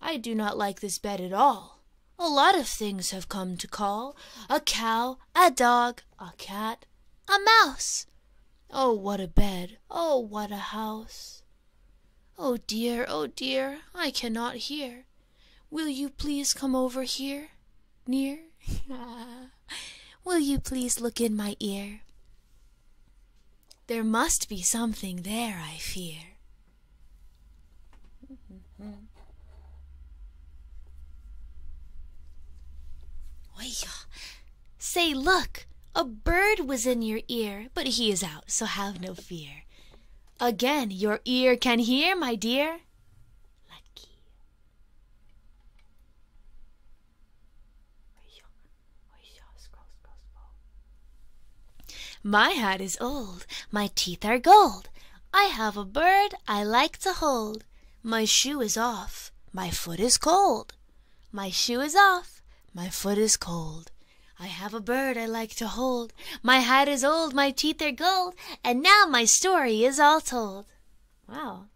I do not like this bed at all. A lot of things have come to call a cow, a dog, a cat, a mouse. Oh, what a bed! Oh, what a house! Oh dear, oh dear, I cannot hear. Will you please come over here? Near? Will you please look in my ear? There must be something there, I fear. Say, look, a bird was in your ear, but he is out, so have no fear. Again, your ear can hear, my dear. My hat is old, my teeth are gold. I have a bird I like to hold. My shoe is off, my foot is cold. My shoe is off, my foot is cold. I have a bird I like to hold. My hat is old, my teeth are gold, and now my story is all told. Wow.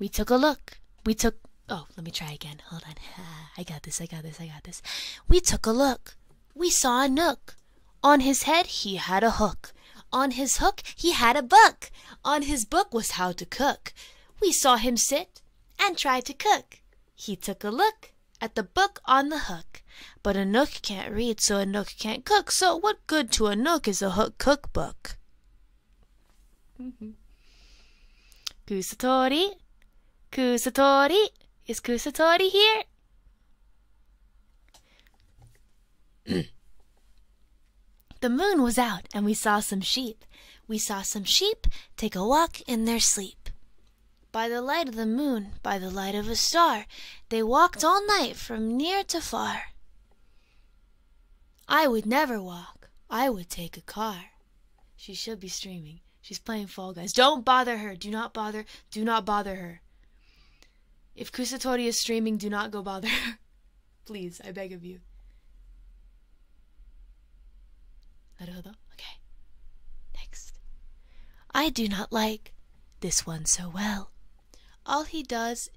We took a look. We took. Oh, let me try again. Hold on. I got this. I got this. I got this. We took a look. We saw a nook. On his head he had a hook. On his hook he had a book. On his book was how to cook. We saw him sit and try to cook. He took a look at the book on the hook. But a nook can't read, so a nook can't cook. So what good to a nook is a hook cookbook? Kusatori? Mm-hmm. Kusatori? Is Kusatori here? the moon was out and we saw some sheep. We saw some sheep take a walk in their sleep. By the light of the moon, by the light of a star, they walked all night from near to far. I would never walk. I would take a car. She should be streaming. She's playing Fall Guys. Don't bother her. Do not bother. Do not bother her. If Kusatori is streaming, do not go bother her. Please, I beg of you. Okay. Next. I do not like this one so well. All he does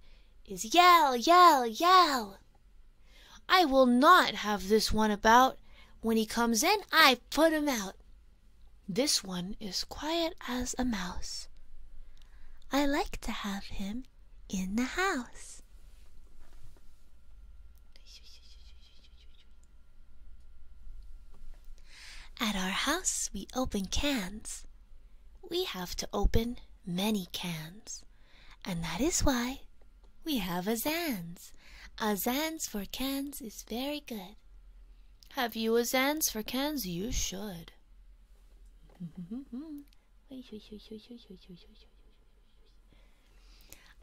is yell, yell, yell. I will not have this one about. When he comes in, I put him out. This one is quiet as a mouse. I like to have him in the house. At our house, we open cans. We have to open many cans, and that is why we have a a Azans for cans is very good. Have you a Azans for cans? You should.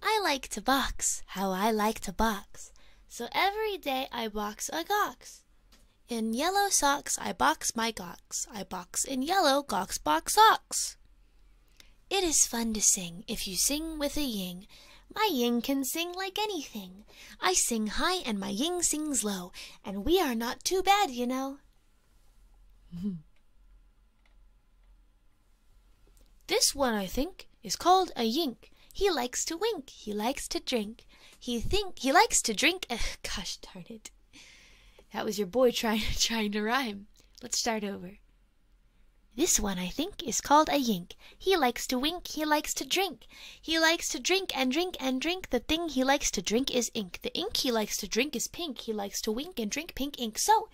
I like to box, how I like to box. So every day I box a gox. In yellow socks I box my gox. I box in yellow gox box socks. It is fun to sing if you sing with a ying. My ying can sing like anything. I sing high and my ying sings low, and we are not too bad, you know. this one, I think, is called a yink. He likes to wink, he likes to drink. He think he likes to drink. Ugh, gosh darn it. That was your boy trying trying to rhyme. Let's start over. This one, I think, is called a Yink. He likes to wink, he likes to drink. He likes to drink and drink and drink. The thing he likes to drink is ink. The ink he likes to drink is pink. He likes to wink and drink pink ink. So,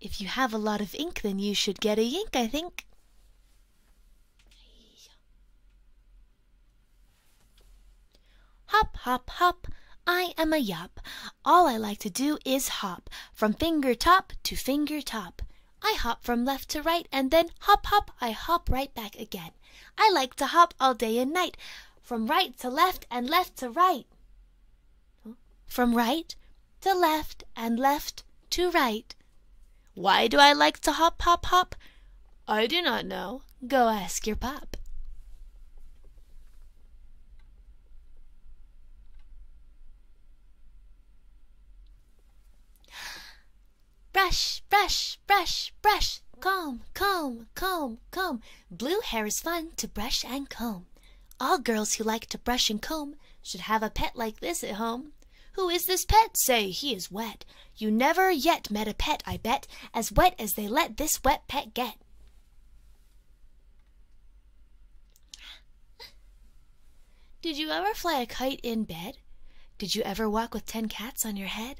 if you have a lot of ink, then you should get a Yink, I think. Hop, hop, hop. I am a Yap. All I like to do is hop From finger top to finger top. I hop from left to right, and then Hop, hop, I hop right back again. I like to hop all day and night, From right to left and left to right. From right to left and left to right. Why do I like to hop, hop, hop? I do not know. Go ask your pop. Brush, brush, brush, brush, comb, comb, comb, comb. Blue hair is fun to brush and comb. All girls who like to brush and comb should have a pet like this at home. Who is this pet? Say, he is wet. You never yet met a pet, I bet, as wet as they let this wet pet get. Did you ever fly a kite in bed? Did you ever walk with ten cats on your head?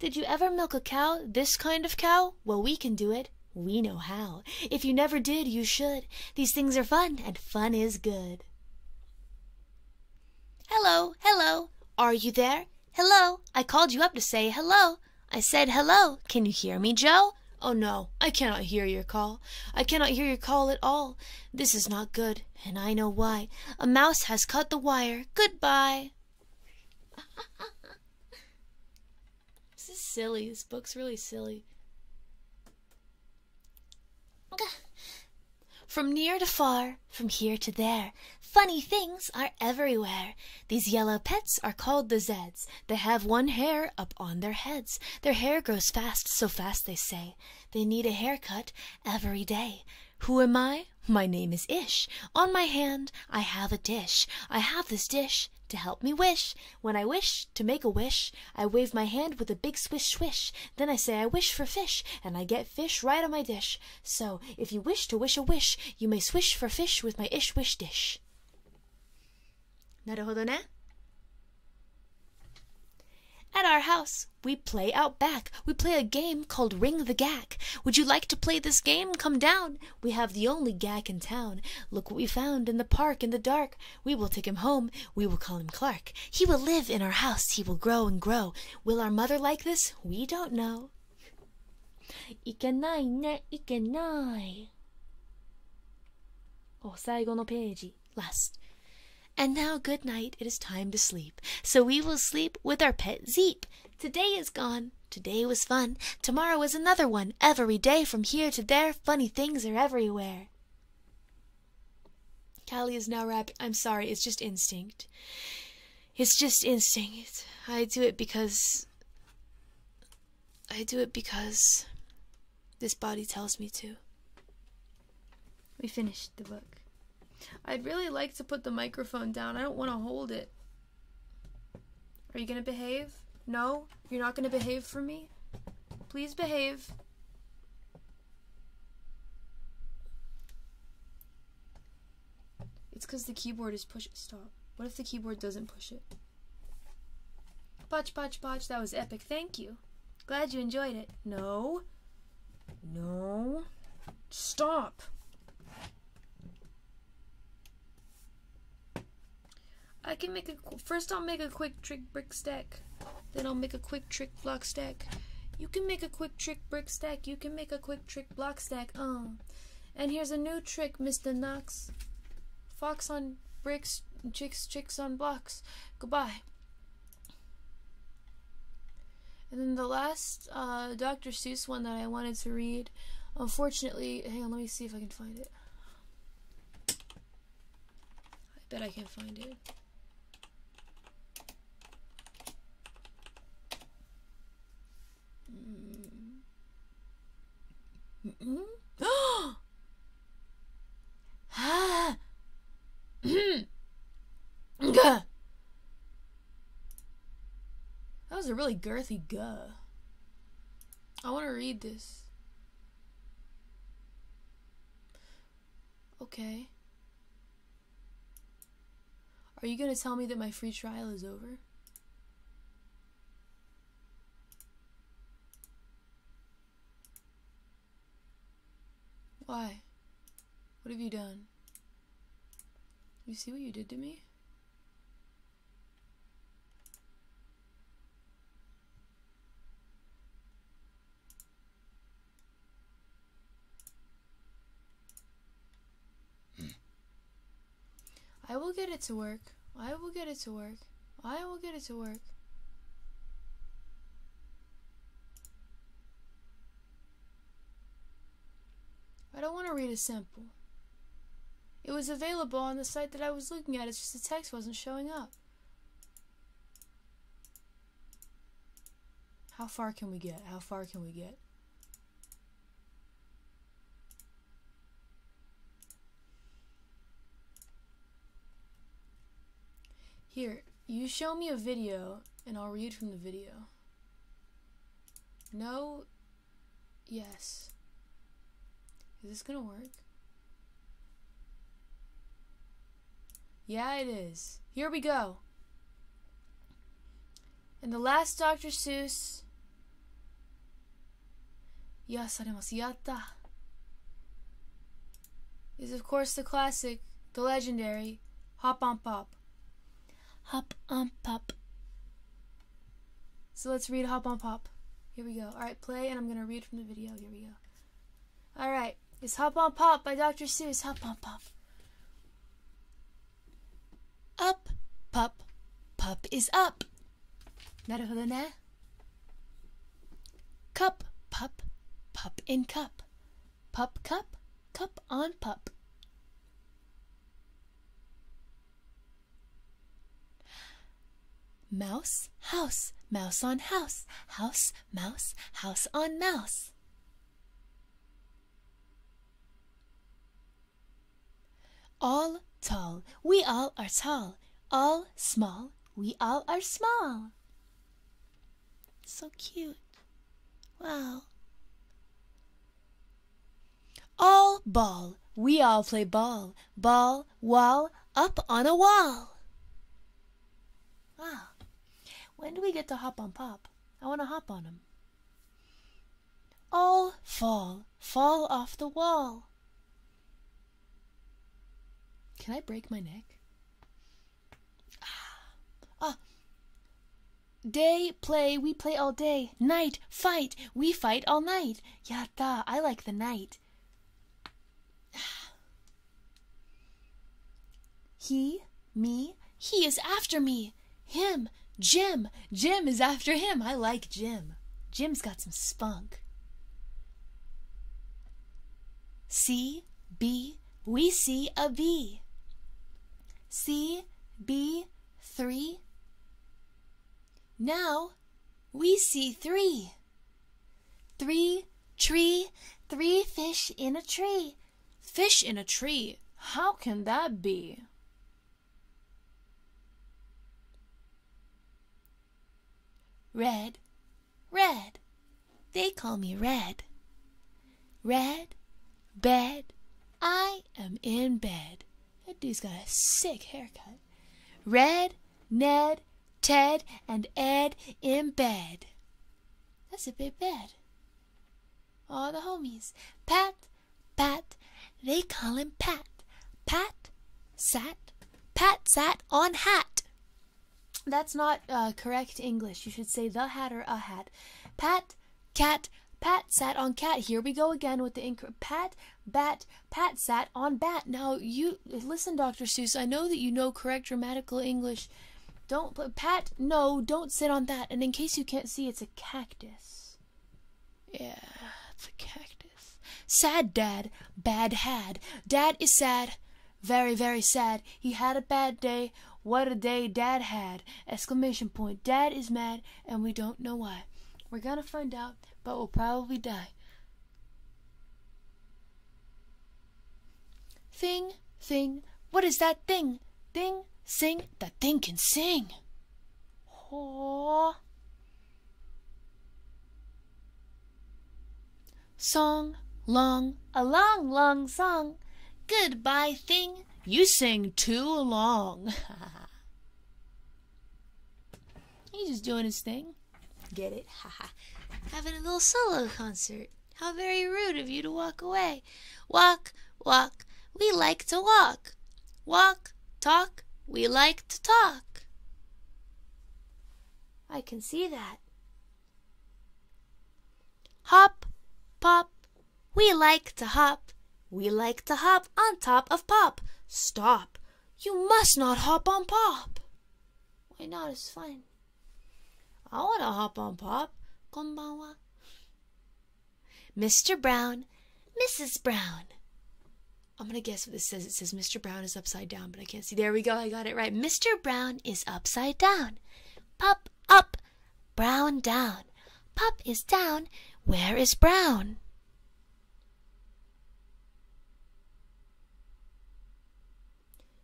Did you ever milk a cow, this kind of cow? Well, we can do it. We know how. If you never did, you should. These things are fun, and fun is good. Hello, hello. Are you there? Hello. I called you up to say hello. I said, Hello, can you hear me, Joe? Oh no, I cannot hear your call. I cannot hear your call at all. This is not good, and I know why. A mouse has cut the wire. Goodbye. this is silly. This book's really silly. From near to far, from here to there, funny things are everywhere. These yellow pets are called the Zeds. They have one hair up on their heads. Their hair grows fast, so fast they say. They need a haircut every day. Who am I? My name is Ish. On my hand I have a dish. I have this dish to help me wish. When I wish to make a wish, I wave my hand with a big swish swish. Then I say I wish for fish, and I get fish right on my dish. So if you wish to wish a wish, you may swish for fish with my Ish wish dish. At our house, we play out back. We play a game called Ring the Gag. Would you like to play this game? Come down. We have the only gag in town. Look what we found in the park in the dark. We will take him home. We will call him Clark. He will live in our house. He will grow and grow. Will our mother like this? We don't know. いけないね、いけない。Oh, no お最後のページ last and now good night it is time to sleep so we will sleep with our pet zeep today is gone today was fun tomorrow is another one every day from here to there funny things are everywhere callie is now wrapping. i'm sorry it's just instinct it's just instinct i do it because I do it because this body tells me to. We finished the book. I'd really like to put the microphone down. I don't want to hold it. Are you going to behave? No? You're not going to behave for me? Please behave. It's because the keyboard is push- stop. What if the keyboard doesn't push it? Potch, potch, potch, that was epic. Thank you. Glad you enjoyed it. No. No. Stop. I can make a... First I'll make a quick trick brick stack. Then I'll make a quick trick block stack. You can make a quick trick brick stack. You can make a quick trick block stack. Um... Oh. And here's a new trick, Mr. Knox. Fox on bricks, chicks, chicks on blocks. Goodbye. And then the last uh, Dr. Seuss one that I wanted to read, unfortunately, hang on, let me see if I can find it. I bet I can find it. Hmm that was a really girthy gah. I want to read this. Okay. Are you going to tell me that my free trial is over? Why? What have you done? You see what you did to me? Hmm. I will get it to work. I will get it to work. I will get it to work. I don't want to read a sample. It was available on the site that I was looking at, it's just the text wasn't showing up. How far can we get? How far can we get? Here, you show me a video and I'll read from the video. No. Yes. Is this gonna work? Yeah, it is. Here we go. And the last Dr. Seuss 癒されます。やった is of course the classic, the legendary Hop on Pop. Hop on Pop. So let's read Hop on Pop. Here we go. Alright, play, and I'm going to read from the video. Here we go. Alright, it's Hop on Pop by Dr. Seuss. Hop on Pop. Up, pup, pop is up. なるほどね cup pup pup in cup pup cup cup on pup mouse house mouse on house house mouse house on mouse all tall, we all are tall. All small, we all are small. So cute. Well. All ball, we all play ball. Ball, wall, up on a wall. Wow. When do we get to hop on pop? I want to hop on him. All fall, fall off the wall. Can I break my neck? Ah. ah. Day, play, we play all day. Night, fight, we fight all night. Yatta, I like the night. He, me, he is after me. Him, Jim, Jim is after him. I like Jim. Jim's got some spunk. C, B, we see a V. C, B, three. Now we see three. Three, tree, three fish in a tree. Fish in a tree, how can that be? Red, red, they call me red. Red, bed, I am in bed. That dude's got a sick haircut. Red, Ned, Ted, and Ed in bed. That's a big bed. All the homies. Pat, Pat, they call him Pat. Pat sat. Pat sat on hat. That's not uh, correct English. You should say the hat or a hat. Pat, cat, Pat sat on cat. Here we go again with the incorrect. Pat, bat, Pat sat on bat. Now, you listen, Dr. Seuss, I know that you know correct grammatical English. Don't, Pat, no, don't sit on that. And in case you can't see, it's a cactus. Yeah, it's a cactus. Sad dad, bad had. Dad is sad, very, very sad. He had a bad day. What a day dad had! Exclamation point. Dad is mad and we don't know why. We're gonna find out, but we'll probably die. Thing, thing, what is that thing? Thing, sing, that thing can sing. Oh. Song, long, a long, long song. Goodbye, thing. You sing too long. He's just doing his thing. Get it? Ha ha. Having a little solo concert. How very rude of you to walk away. Walk, walk. We like to walk. Walk, talk, we like to talk. I can see that. Hop, pop, we like to hop. We like to hop on top of pop. Stop, you must not hop on pop. Why not? It's fun. I want to hop on pop. Konbanwa. Mr. Brown, Mrs. Brown. I'm gonna guess what this says. It says Mr. Brown is upside down, but I can't see. There we go. I got it right. Mr. Brown is upside down. Pop up, Brown down. Pop is down. Where is Brown?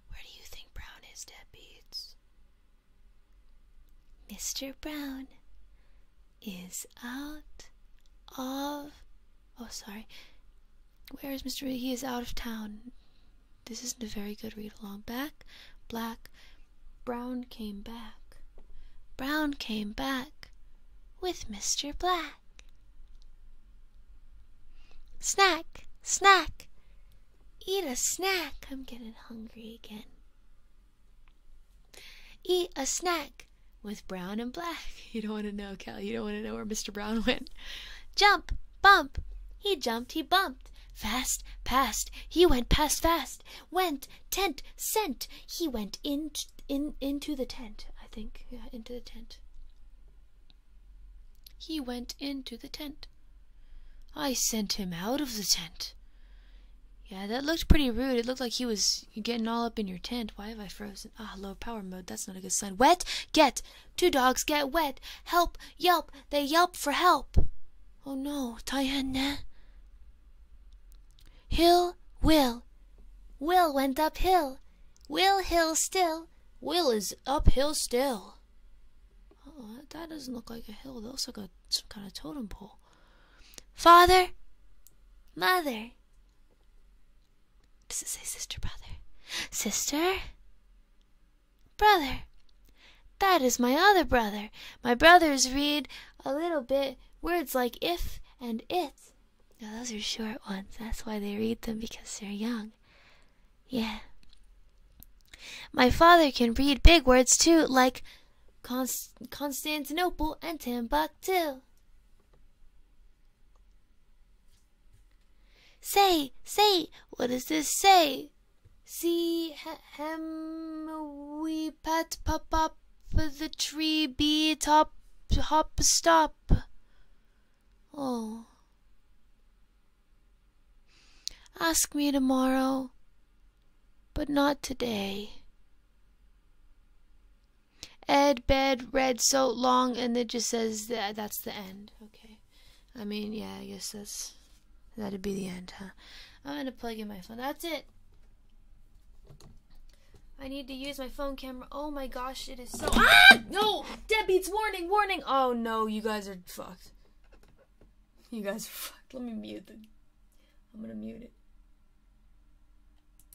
Where do you think Brown is, Deadbeats? Mr. Brown is out of Oh, sorry. Where is Mr. He is out of town. This isn't a very good read along. Back, black, brown came back. Brown came back with Mr. Black. Snack, snack, eat a snack. I'm getting hungry again. Eat a snack with brown and black. You don't want to know, Cal. You don't want to know where Mr. Brown went. Jump, bump. He jumped, he bumped. Fast, past. He went past fast. Went, tent, sent. He went in, in, into the tent, I think. Yeah, into the tent. He went into the tent. I sent him out of the tent. Yeah, that looked pretty rude. It looked like he was getting all up in your tent. Why have I frozen? Ah, low power mode. That's not a good sign. Wet? Get. Two dogs get wet. Help. Yelp. They yelp for help. Oh no. Tayenne. Eh? Hill. Will. Will went uphill. Will hill still. Will is uphill still. Oh, that doesn't look like a hill. That looks like a, some kind of totem pole. Father. Mother. Does it say sister, brother? Sister? Brother. That is my other brother. My brothers read a little bit words like if and it. Now, those are short ones. That's why they read them because they're young. Yeah. My father can read big words too, like Constantinople and Timbuktu. Say, say, what does this say? See him, we pat, pop up the tree, be top, hop, stop. Oh. Ask me tomorrow, but not today. Ed, bed, red so long, and it just says that that's the end. Okay. I mean, yeah, I guess that's that'd be the end, huh? I'm gonna plug in my phone. That's it. I need to use my phone camera. Oh my gosh, it is so. Ah! No! Deadbeats, warning, warning! Oh no, you guys are fucked. You guys are fucked. Let me mute them. I'm gonna mute it.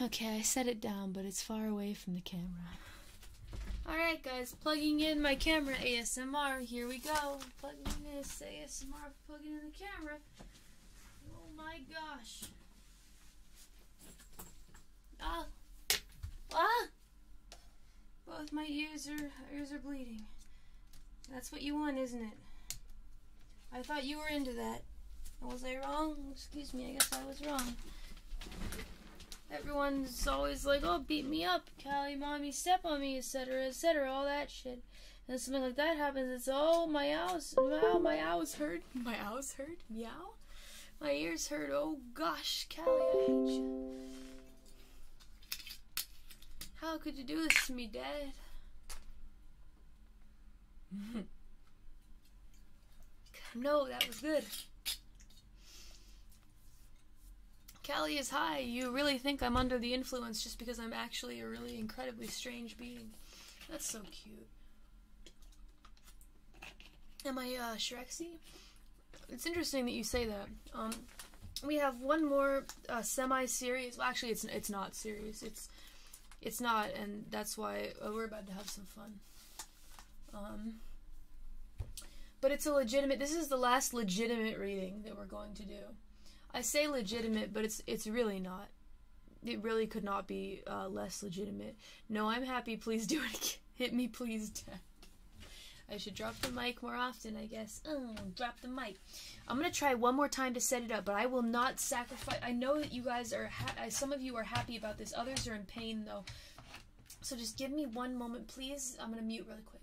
Okay, I set it down, but it's far away from the camera. Alright guys, plugging in my camera ASMR. Here we go. Plugging in this ASMR, plugging in the camera. Oh my gosh. Ah! Ah! Both my ears are ears are bleeding. That's what you want, isn't it? I thought you were into that. Was I wrong? Excuse me, I guess I was wrong. Everyone's always like, oh, beat me up, Callie, mommy, step on me, etc., etc., all that shit. And something like that happens, it's, oh, my house, wow, my house hurt. My house hurt? Meow? My ears hurt. Oh, gosh, Callie, I hate you. How could you do this to me, Dad? no, that was good. Callie is high. You really think I'm under the influence just because I'm actually a really incredibly strange being. That's so cute. Am I uh, Shreksey? It's interesting that you say that. Um, we have one more uh, semi series. Well, actually, it's it's not series. It's it's not, and that's why uh, we're about to have some fun. Um, but it's a legitimate. This is the last legitimate reading that we're going to do. I say legitimate, but it's it's really not. It really could not be uh, less legitimate. No, I'm happy. Please do it. Hit me, please. I should drop the mic more often, I guess. Oh, drop the mic. I'm gonna try one more time to set it up, but I will not sacrifice. I know that you guys are, some of you are happy about this. Others are in pain though. So just give me one moment, please. I'm gonna mute really quick.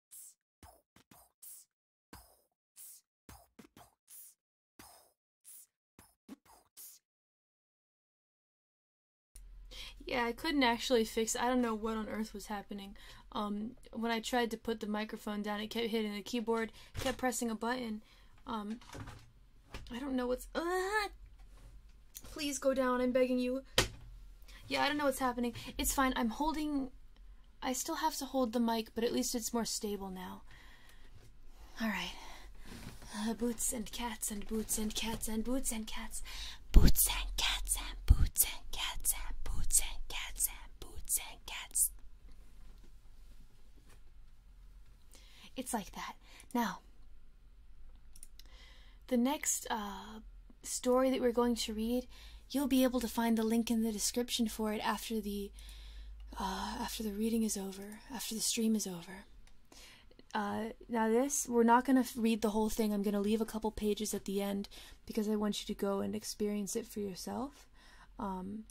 Yeah, I couldn't actually fix. I don't know what on earth was happening. Um, when I tried to put the microphone down, it kept hitting the keyboard, kept pressing a button. Um, I don't know what's. Uh-huh. please go down. I'm begging you. Yeah, I don't know what's happening. It's fine. I'm holding I still have to hold the mic, but at least it's more stable now. Alright. Uh, boots and cats and boots and cats and boots and cats. Boots and cats and boots and cats and boots and cats and boots and cats. It's like that. Now, the next uh, story that we're going to read You'll be able to find the link in the description for it after the uh, after the reading is over, after the stream is over. Uh, now this, we're not going to read the whole thing. I'm going to leave a couple pages at the end because I want you to go and experience it for yourself. Um,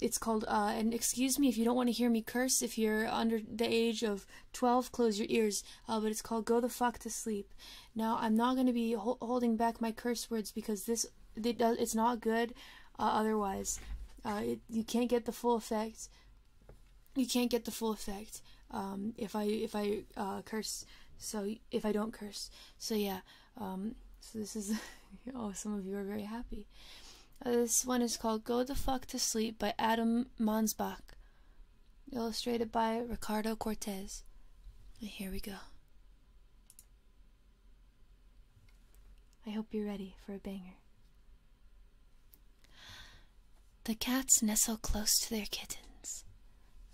it's called, uh, and excuse me if you don't want to hear me curse, if you're under the age of 12, close your ears, uh, but it's called Go the Fuck to Sleep. Now, I'm not going to be holding back my curse words because this it's it does it's not good uh, otherwise. Uh, you can't get the full effect. You can't get the full effect um, if I if I uh, curse. So if I don't curse, so yeah. Um, so this is oh, some of you are very happy. this one is called "Go the Fuck to Sleep" by Adam Mansbach, illustrated by Ricardo Cortez. here we go. I hope you're ready for a banger. The cats nestle close to their kittens.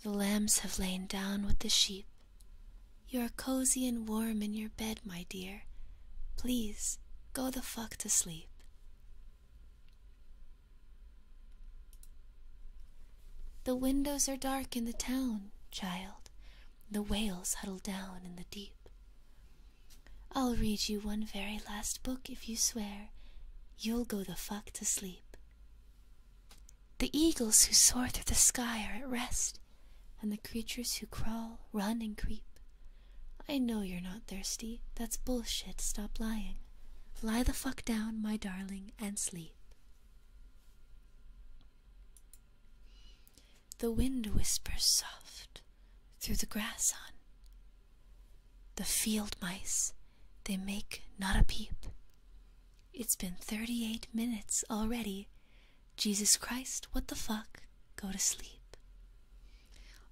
The lambs have lain down with the sheep. You are cozy and warm in your bed, my dear. Please go the fuck to sleep. The windows are dark in the town, child. The whales huddle down in the deep. I'll read you one very last book if you swear you'll go the fuck to sleep. The eagles who soar through the sky are at rest, and the creatures who crawl, run, and creep. I know you're not thirsty. That's bullshit. Stop lying. Lie the fuck down, my darling, and sleep. The wind whispers soft through the grass on. The field mice, they make not a peep. It's been 38 minutes already. Jesus Christ, what the fuck? Go to sleep.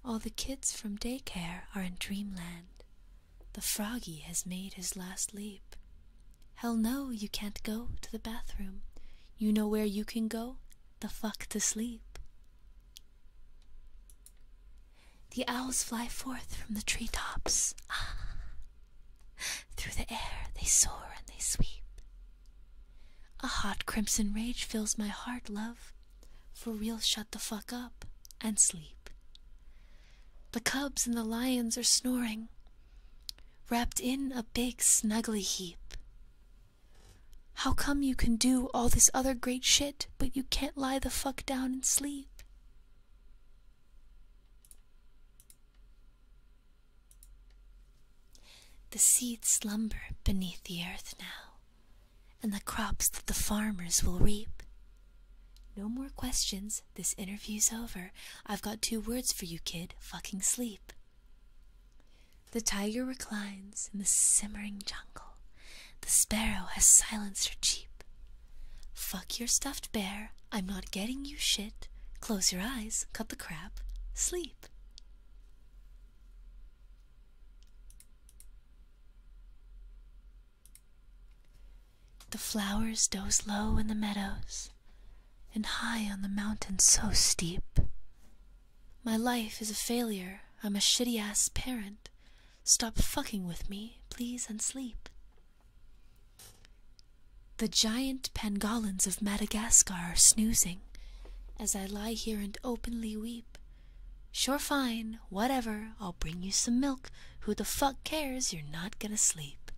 All the kids from daycare are in dreamland. The froggy has made his last leap. Hell no, you can't go to the bathroom. You know where you can go? The fuck to sleep. The owls fly forth from the treetops. Ah. Through the air they soar and they sweep. A hot crimson rage fills my heart, love. For real, shut the fuck up and sleep. The cubs and the lions are snoring wrapped in a big snuggly heap. How come you can do all this other great shit, but you can't lie the fuck down and sleep? The seeds slumber beneath the earth now, and the crops that the farmers will reap. No more questions this interview's over, I've got two words for you, kid fucking sleep. The tiger reclines in the simmering jungle. The sparrow has silenced her cheep. Fuck your stuffed bear. I'm not getting you shit. Close your eyes, cut the crap, sleep. The flowers doze low in the meadows and high on the mountain so steep. My life is a failure. I'm a shitty ass parent. Stop fucking with me, please, and sleep. The giant pangolins of Madagascar are snoozing as I lie here and openly weep. Sure, fine, whatever, I'll bring you some milk. Who the fuck cares? You're not gonna sleep.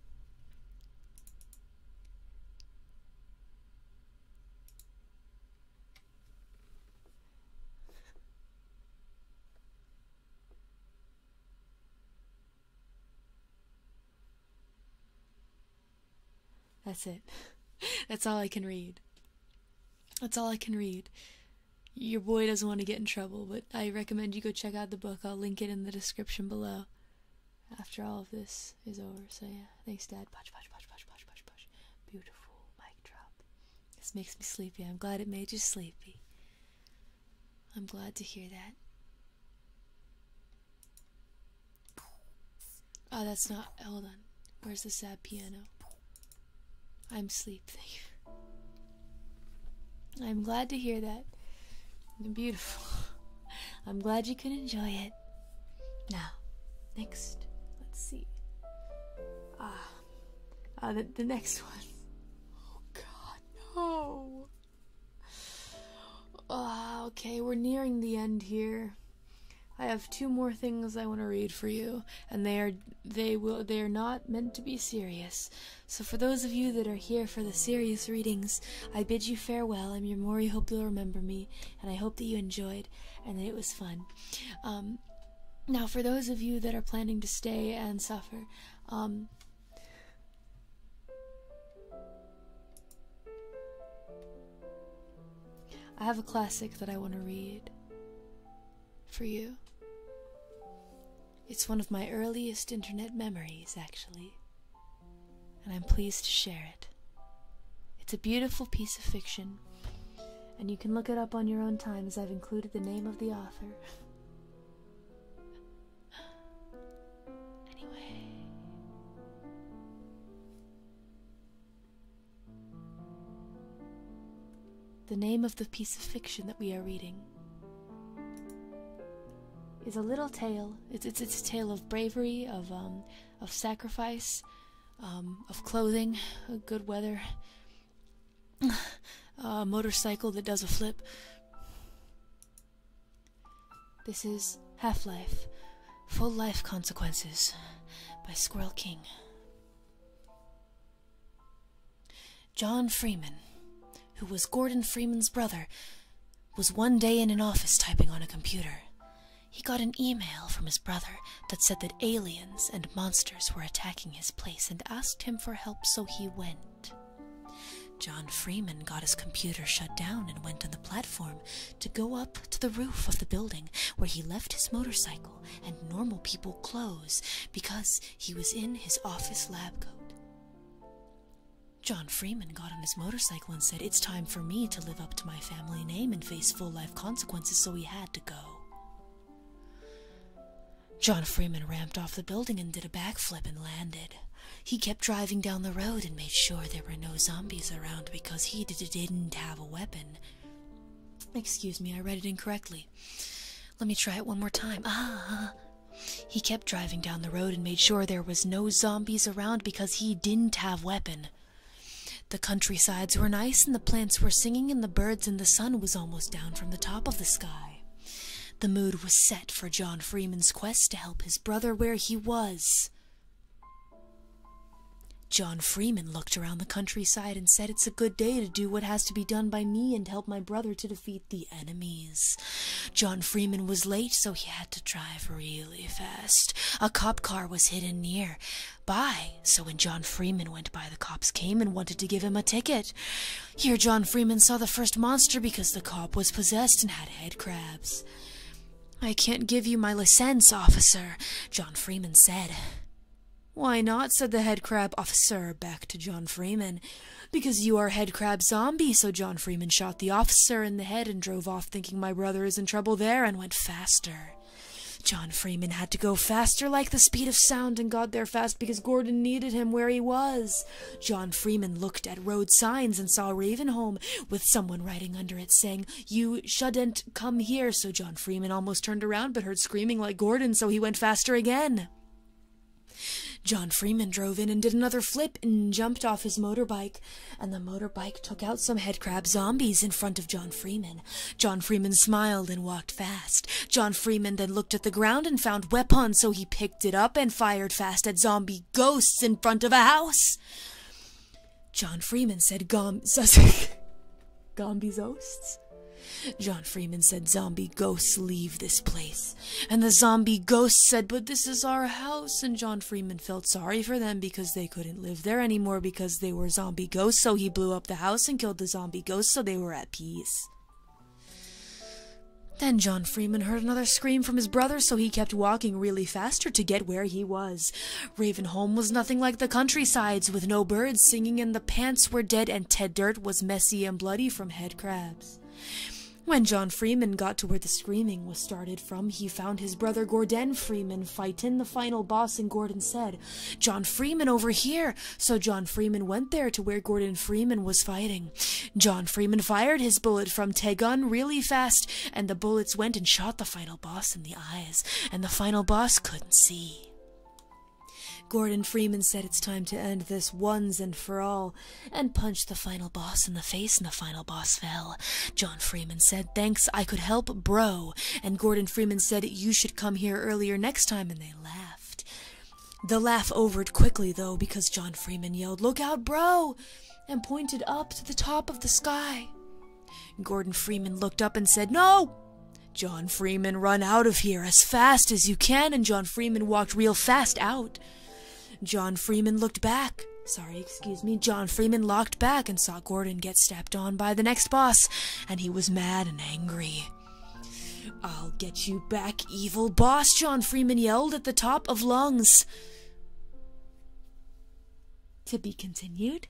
That's it. That's all I can read. That's all I can read. Your boy doesn't want to get in trouble, but I recommend you go check out the book. I'll link it in the description below after all of this is over. So yeah, thanks, Dad. Push, push, push, push, push, push, push. Beautiful mic drop. This makes me sleepy. I'm glad it made you sleepy. I'm glad to hear that. Oh, that's not. Hold on. Where's the sad piano? I'm sleepy. I'm glad to hear that. Beautiful. I'm glad you could enjoy it. Now, next, let's see. Ah, ah the, the next one. Oh god, no. Uh, okay, we're nearing the end here. I have two more things I want to read for you, and they are they will they are not meant to be serious. So for those of you that are here for the serious readings, I bid you farewell. I'm your Mori. Hope you'll remember me, and I hope that you enjoyed and that it was fun. Um, now, for those of you that are planning to stay and suffer, um, I have a classic that I want to read for you. It's one of my earliest internet memories, actually and I'm pleased to share it. It's a beautiful piece of fiction, and you can look it up on your own time as I've included the name of the author. anyway. The name of the piece of fiction that we are reading is a little tale. It's it's it's a tale of bravery, of um, of sacrifice, um, of clothing, good weather, a motorcycle that does a flip. This is Half Life, Full Life Consequences by Squirrel King. John Freeman, who was Gordon Freeman's brother, was one day in an office typing on a computer. He got an email from his brother that said that aliens and monsters were attacking his place and asked him for help, so he went. John Freeman got his computer shut down and went on the platform to go up to the roof of the building where he left his motorcycle and normal people clothes because he was in his office lab coat. John Freeman got on his motorcycle and said, It's time for me to live up to my family name and face full life consequences, so he had to go. John Freeman ramped off the building and did a backflip and landed. He kept driving down the road and made sure there were no zombies around because he didn't have a weapon. Excuse me, I read it incorrectly. Let me try it one more time. Ah, he kept driving down the road and made sure there was no zombies around because he didn't have weapon. The countrysides were nice and the plants were singing and the birds and the sun was almost down from the top of the sky. The mood was set for John Freeman's quest to help his brother where he was. John Freeman looked around the countryside and said it's a good day to do what has to be done by me and help my brother to defeat the enemy. John Freeman was late, so he had to drive really fast. A cop car was hidden near by, so when John Freeman went by, the cops came and wanted to give him a ticket. Here, John Freeman saw the first monster because the cop was possessed and had head crabs. I can't give you my license, officer, John Freeman said. Why not? said the head crab officer back to John Freeman. Because you are head crab zombie, so John Freeman shot the officer in the head and drove off thinking my brother is in trouble there and went faster. John Freeman had to go faster like the speed of sound and got there fast because Gordon needed him where he was. John Freeman looked at road signs and saw Ravenholm with someone writing under it saying, You shouldn't come here. So John Freeman almost turned around but heard screaming like Gordon, so he went faster again. John Freeman drove in and did another flip and jumped off his motorbike and the motorbike took out some headcrab zombies in front of John Freeman. John Freeman smiled and walked fast. John Freeman then looked at the ground and found weapon, so he picked it up and fired fast at zombie ghosts in front of a house. John Freeman said gom... Zombie ghosts? John Freeman said zombie ghosts leave this place. And the zombie ghost said, But this is our house. And John Freeman felt sorry for them because they couldn't live there anymore because they were zombie ghosts. So he blew up the house and killed the zombie ghosts so they were at peace. Then John Freeman heard another scream from his brother, so he kept walking really faster to get where he was. Ravenholm was nothing like the countrysides, with no birds singing and the pants were dead and Ted Dirt was messy and bloody from head crabs. When John Freeman got to where the screaming was started from, he found his brother Gordon Freeman fighting the final boss, and Gordon said, John Freeman over here! So John Freeman went there to where Gordon Freeman was fighting. John Freeman fired his bullet from Tegun really fast, and the bullets went and shot the final boss in the eyes, and the final boss couldn't see. Gordon Freeman said it's time to end this once and for all, and punched the final boss in the face, and the final boss fell. John Freeman said, Thanks, I could help, bro. And Gordon Freeman said, You should come here earlier next time, and they laughed. The laugh overed quickly, though, because John Freeman yelled, Look out, bro! and pointed up to the top of the sky. Gordon Freeman looked up and said, No! John Freeman, run out of here as fast as you can. And John Freeman walked real fast out. John Freeman looked back. Sorry, excuse me. John Freeman looked back and saw Gordon get stepped on by the next boss, and he was mad and angry. I'll get you back, evil boss, John Freeman yelled at the top of lungs. To be continued?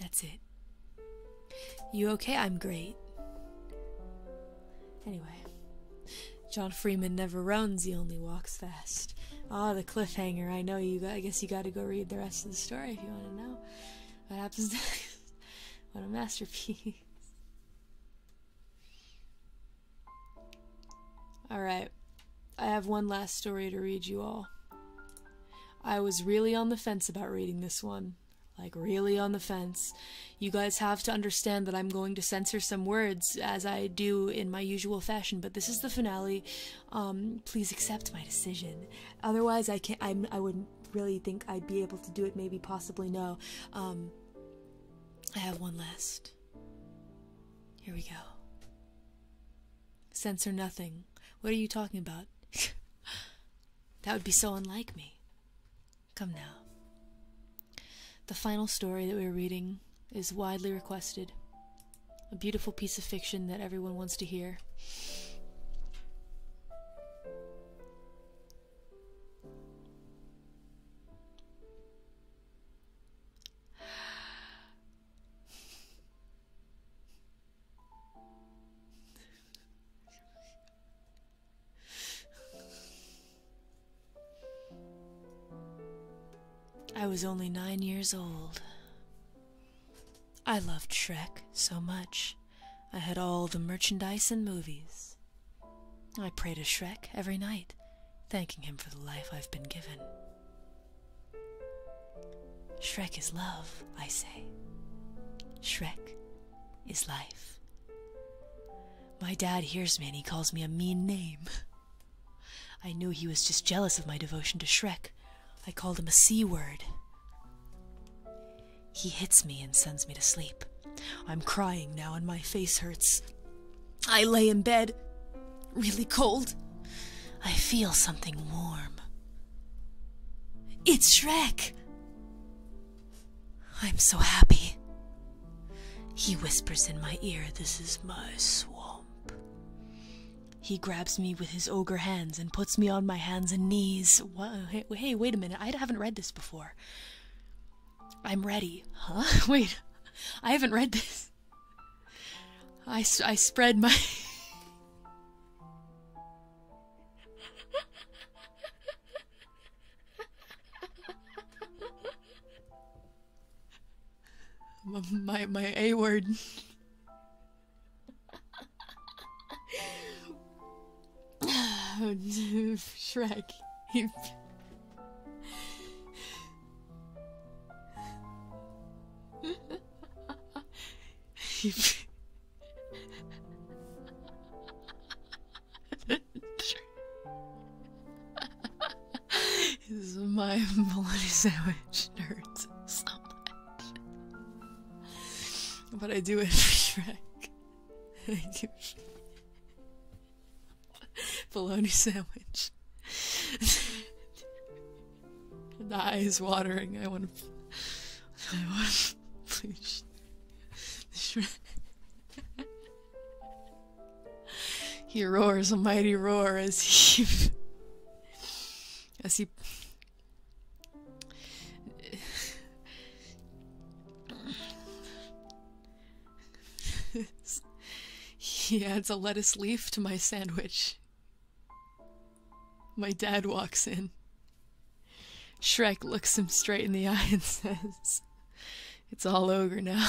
That's it. You okay? I'm great. Anyway, John Freeman never runs, he only walks fast. Ah, the cliffhanger. I know you I guess you gotta go read the rest of the story if you wanna know what happens what a masterpiece. Alright, I have one last story to read you all. I was really on the fence about reading this one. Like, really on the fence. You guys have to understand that I'm going to censor some words, as I do in my usual fashion, but this is the finale. Um, please accept my decision. Otherwise, I can't- I'm, I i would not really think I'd be able to do it, maybe, possibly, no. Um, I have one last. Here we go. Censor nothing. What are you talking about? That would be so unlike me. Come now. The final story that we are reading is widely requested. A beautiful piece of fiction that everyone wants to hear. I was only nine years old. I loved Shrek so much. I had all the merchandise and movies. I prayed to Shrek every night, thanking him for the life I've been given. Shrek is love, I say. Shrek is life. My dad hears me and he calls me a mean name. I knew he was just jealous of my devotion to Shrek. I called him a C word. He hits me and sends me to sleep. I'm crying now and my face hurts. I lay in bed, really cold. I feel something warm it's Shrek! I'm so happy. He whispers in my ear, This is my swamp. He grabs me with his ogre hands and puts me on my hands and knees. hey, hey, wait a minute. I haven't read this before. I'm ready. Huh? Wait. I haven't read this. I, I spread my. my my A word. Shrek. this is my bologna sandwich It hurts so much. But I do it for Shrek. I do bologna sandwich. The eyes watering. I want to. I want. Please. he roars a mighty roar as he. as he. he adds a lettuce leaf to my sandwich. My dad walks in. Shrek looks him straight in the eye and says, It's all over now.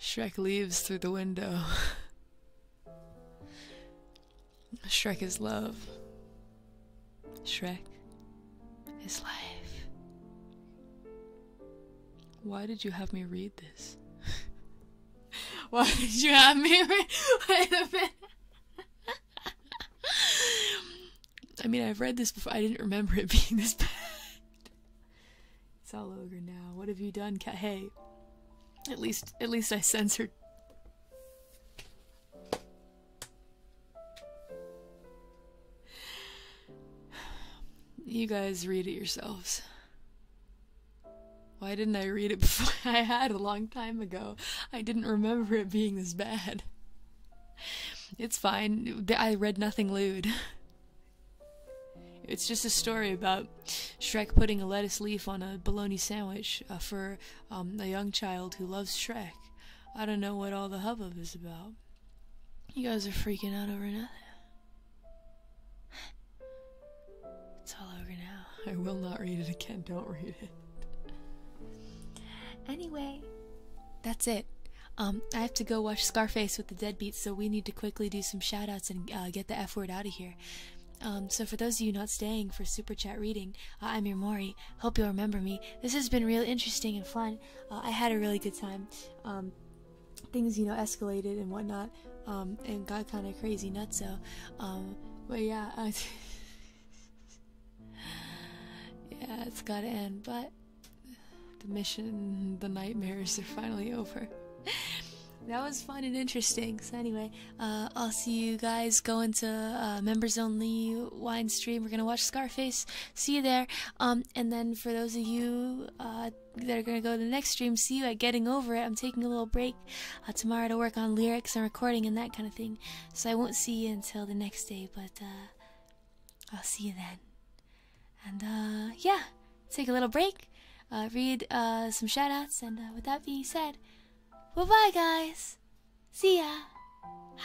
Shrek leaves through the window. Shrek is love. Shrek is life. Why did you have me read this? Why did you have me? Wait a I mean, I've read this before. I didn't remember it being this bad. It's all over now. What have you done, cat? Hey, at least, at least I censored. You guys read it yourselves. Why didn't I read it before? I had a long time ago. I didn't remember it being this bad. It's fine. I read nothing lewd. It's just a story about Shrek putting a lettuce leaf on a bologna sandwich uh, for um, a young child who loves Shrek. I don't know what all the hubbub is about. You guys are freaking out over nothing. It's all over now. I will not read it again. Don't read it. Anyway, that's it. Um, I have to go watch Scarface with the Deadbeats, so we need to quickly do some shoutouts and uh, get the F word out of here. Um, so for those of you not staying for Super Chat reading, uh, I'm your Mori. Hope you'll remember me. This has been real interesting and fun. Uh, I had a really good time. Um, things, you know, escalated and whatnot. Um, and got kind of crazy nuts. So, um, but yeah, yeah, it's gotta end. But the mission, the nightmares are finally over. that was fun and interesting. So anyway, uh, I'll see you guys going to uh, members only wine stream. We're gonna watch Scarface. See you there. Um, and then for those of you uh, that are gonna go to the next stream see you at getting over it i'm taking a little break uh, tomorrow to work on lyrics and recording and that kind of thing so i won't see you until the next day but uh, i'll see you then and uh, yeah take a little break read some shout outs and with that being said bye bye guys see ya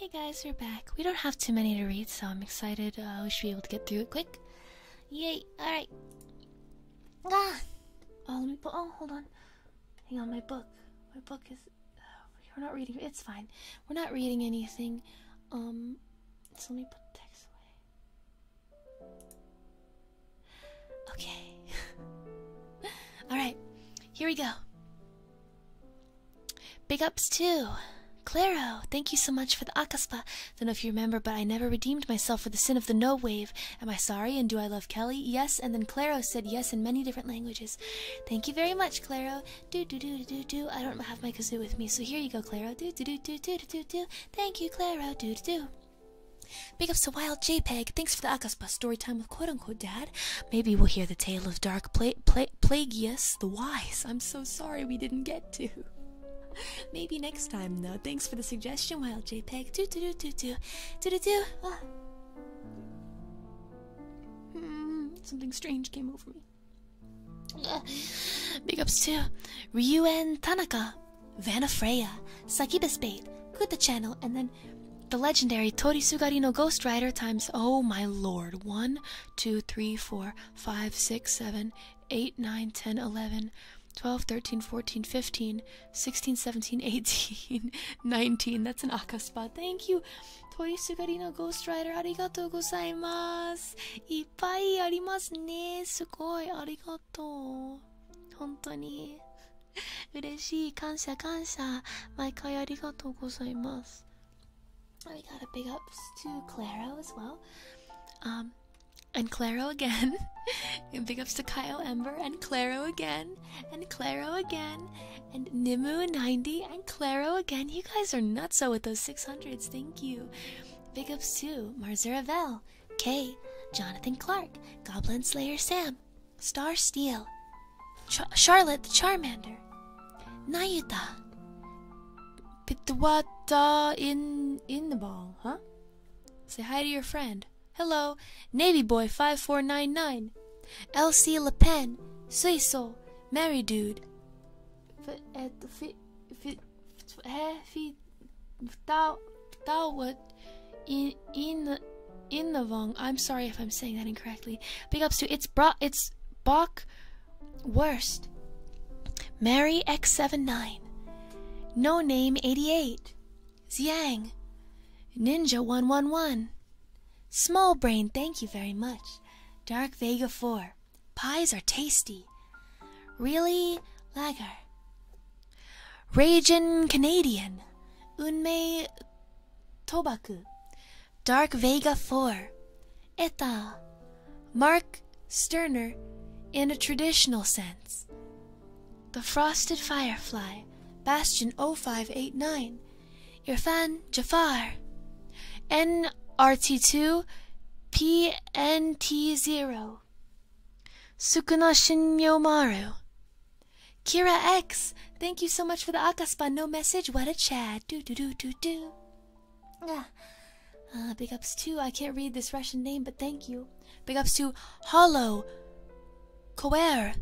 Hey guys, we're back. We don't have too many to read, so I'm excited. I wish uh, we should able to get through it quick. Yay! Alright. Ah! Oh, let me put. Oh, hold on. Hang on, my book. My book is. we're oh, not reading. It's fine. We're not reading anything. Um, so let me put the text away. Okay. All right. Here we go. Big ups to Claro. Thank you so much for the akaspa. Don't know if you remember, but I never redeemed myself for the sin of the no wave. Am I sorry? And do I love Kelly? Yes. And then Claro said yes in many different languages. Thank you very much, Claro. Do do do do do. I don't have my kazoo with me, so here you go, Claro. Do do do do do do do. Thank you, Claro. Do do do. Big ups to Wild JPEG. Thanks for the Akaspa story time with quote unquote dad. Maybe we'll hear the tale of Dark Pla Pla Plagius the Wise. I'm so sorry we didn't get to. Maybe next time, though. Thanks for the suggestion, While JPEG. Do do do do do do do ah. hmm, something strange came over me. big ups to Ryuen Tanaka, Vanafreya, Sakiba Spade, Kuta Channel, and then the legendary Torisugari no Ghost Rider times. Oh my lord. 1, 2, 3, 4, 5, 6, 7, 8, 9, 10, 11, 12, 13, 14, 15, 16, 17, 18, 19. That's an Aka spot. Thank you. Toy Sugarino Ghost Rider, arigatou gozaimasu. Ippai arimasu ne. Sugoi arigatou. Honto ni. Ureshii. Kansha, kansha. Maikai arigatou gozaimasu. We got a big ups to Clara as well. Um, and Claro again. big up to Kyle Ember and Claro again and Claro again and Nimu 90 and Claro again. You guys are nuts! nutso with those 600s. Thank you. Big up to Marzaravel, K, Jonathan Clark, Goblin Slayer Sam, Star Steel, Charlotte the Charmander, Nayuta, Pitwata in in the bowl, huh? Say hi to your friend. Hello, Navy Boy 5499, LC Le Pen, Suiso, Mary Dude. In in in the wrong. I'm sorry if I'm saying that incorrectly. Big ups to it's bra it's Bach worst. Mary X79, no Name 88, Ziang, Ninja 111, Small Brain, thank you very much, Dark Vega 4, Pies are tasty, Really Lager, Ragin' Canadian, Unmei Tobaku, Dark Vega 4, Eta, Mark Sterner in a traditional sense, the Frosted Firefly, Bastion 0589, Irfan Jafar, NRT2, PNT0, Sukuna Shinyomaru, Kira X, thank you so much for the Akaspa no message. What a chat. Do do do do do. Ah. Uh, big ups too. I can't read this Russian name, but thank you. Big ups to Hollow, Koer,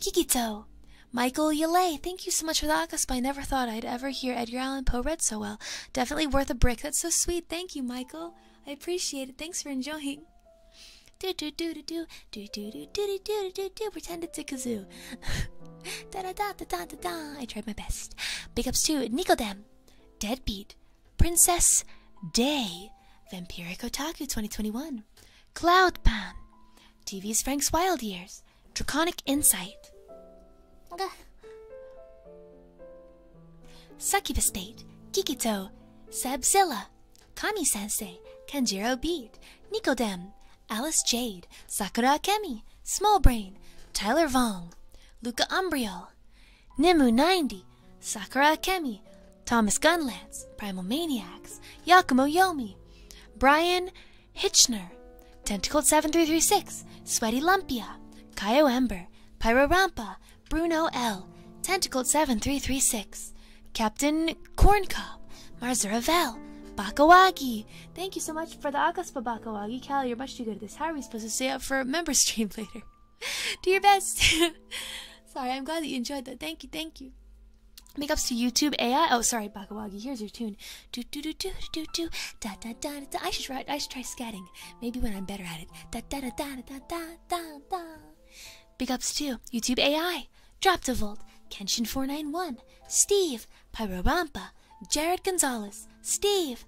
Kikito, Michael Yelay. Thank you so much for the Akaspy. Never thought I'd ever hear Edgar Allan Poe read so well. Definitely worth a brick. That's so sweet. Thank you, Michael. I appreciate it. Thanks for enjoying. Do do do do do do do do do do do do pretend it's a kazoo. da da da da da da da. I tried my best. Big ups to Nicodem, Deadbeat, Princess Day, Vampiric Otaku 2021, Cloud Pan, TV's Frank's Wild Years, Draconic Insight, Gah. State, Kikito, Sebzilla, Kami Sensei, Kanjero Beat, Nicodem, Alice Jade, Sakura Akemi, Small Brain, Tyler Vong, Luca Umbrio. Bell, Nimu 90, Sakura Akemi, Thomas Gunlance, Primal Maniacs, Yakumo Yomi, Brian Hitchner, Tentacled 7336, Sweaty Lumpia, Kaio Ember, Pyrorampa, Bruno L, Tentacled 7336, Captain Corncob, Marzuravel, Bakawagi. Thank you so much for the Agaspa Bakawagi. Cal, you're much too good at this. How are we supposed to stay up for a member stream later? Do your best. sorry, I'm glad that you enjoyed that. Thank you, thank you. Make ups to YouTube AI. Oh, sorry, Bakawagi. Here's your tune. Do do do do do do da da da da. I should write. I should try scatting. Maybe when I'm better at it. Da da da da da da da da. Big ups to YouTube AI, Droptavolt, Kenshin491, Steve, Pyrobampa, Jared Gonzalez, Steve,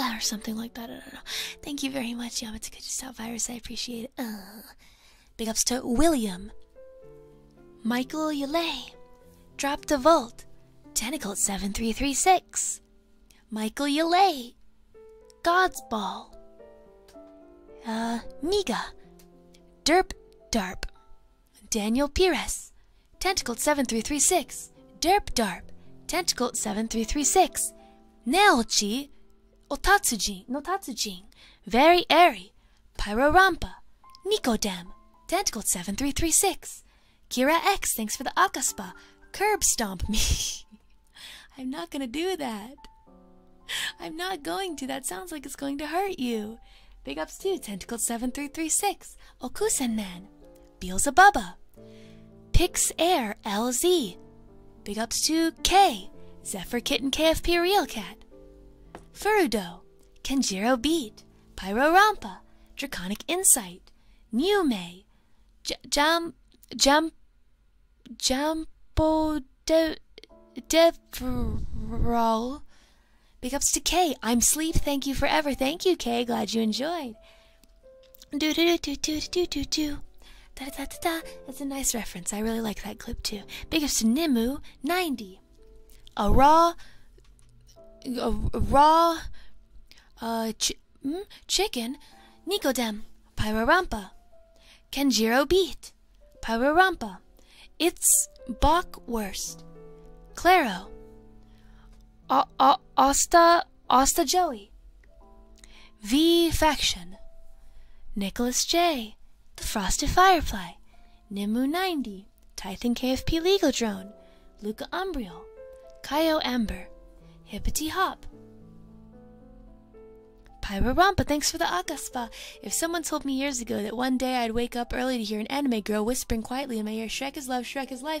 or something like that. I don't know. Thank you very much, Yum. It's good to stop virus. I appreciate it. Uh, big ups to William, Michael Yule, Drop the Vault, Tentacle seven three three six, Michael Yule, God's Ball, uh, Miga, Derp, Derp Daniel Pires, Tentacle 7336 Derp Darp, Tentacle 7336 Naochi, Otatsuji, notatsuji. Very Airy, Pyrorampa, Nicodem, Tentacle 7336 Kira X, thanks for the Akaspa, Curb Stomp me. I'm not gonna do that. I'm not going to. That sounds like it's going to hurt you. Big ups to Tentacle7336, Okusen Man, Beelzebubba, Pix Air LZ, Big ups to K, Zephyr Kitten KFP Real Cat, Furudo, Kenjiro Beat, Pyro Draconic Insight, Niume, J Jam Jam Jambo De Devrol Big ups to Kay. I'm sleep. Thank you forever. Thank you, Kay. Glad you enjoyed. Do do do do do do do do. da da da. That's a nice reference. I really like that clip too. Big ups to Nimu. Ninety. A raw. A, raw. A uh, ch mm, chicken. Nicodem. Pyrorampa. Kenjiro beat. Pyrorampa. It's Bach worst. Claro. O o Joey, V Faction, Nicholas J, The Frosted Firefly, Nimu 90, Titan KFP Legal Drone, Luca Umbriel, Kaio Amber, Hippity Hop. Pyrorampa, thanks for the Akaspa. If someone told me years ago that one day I'd wake up early to hear an anime girl whispering quietly in my ear, Shrek is love, Shrek is life.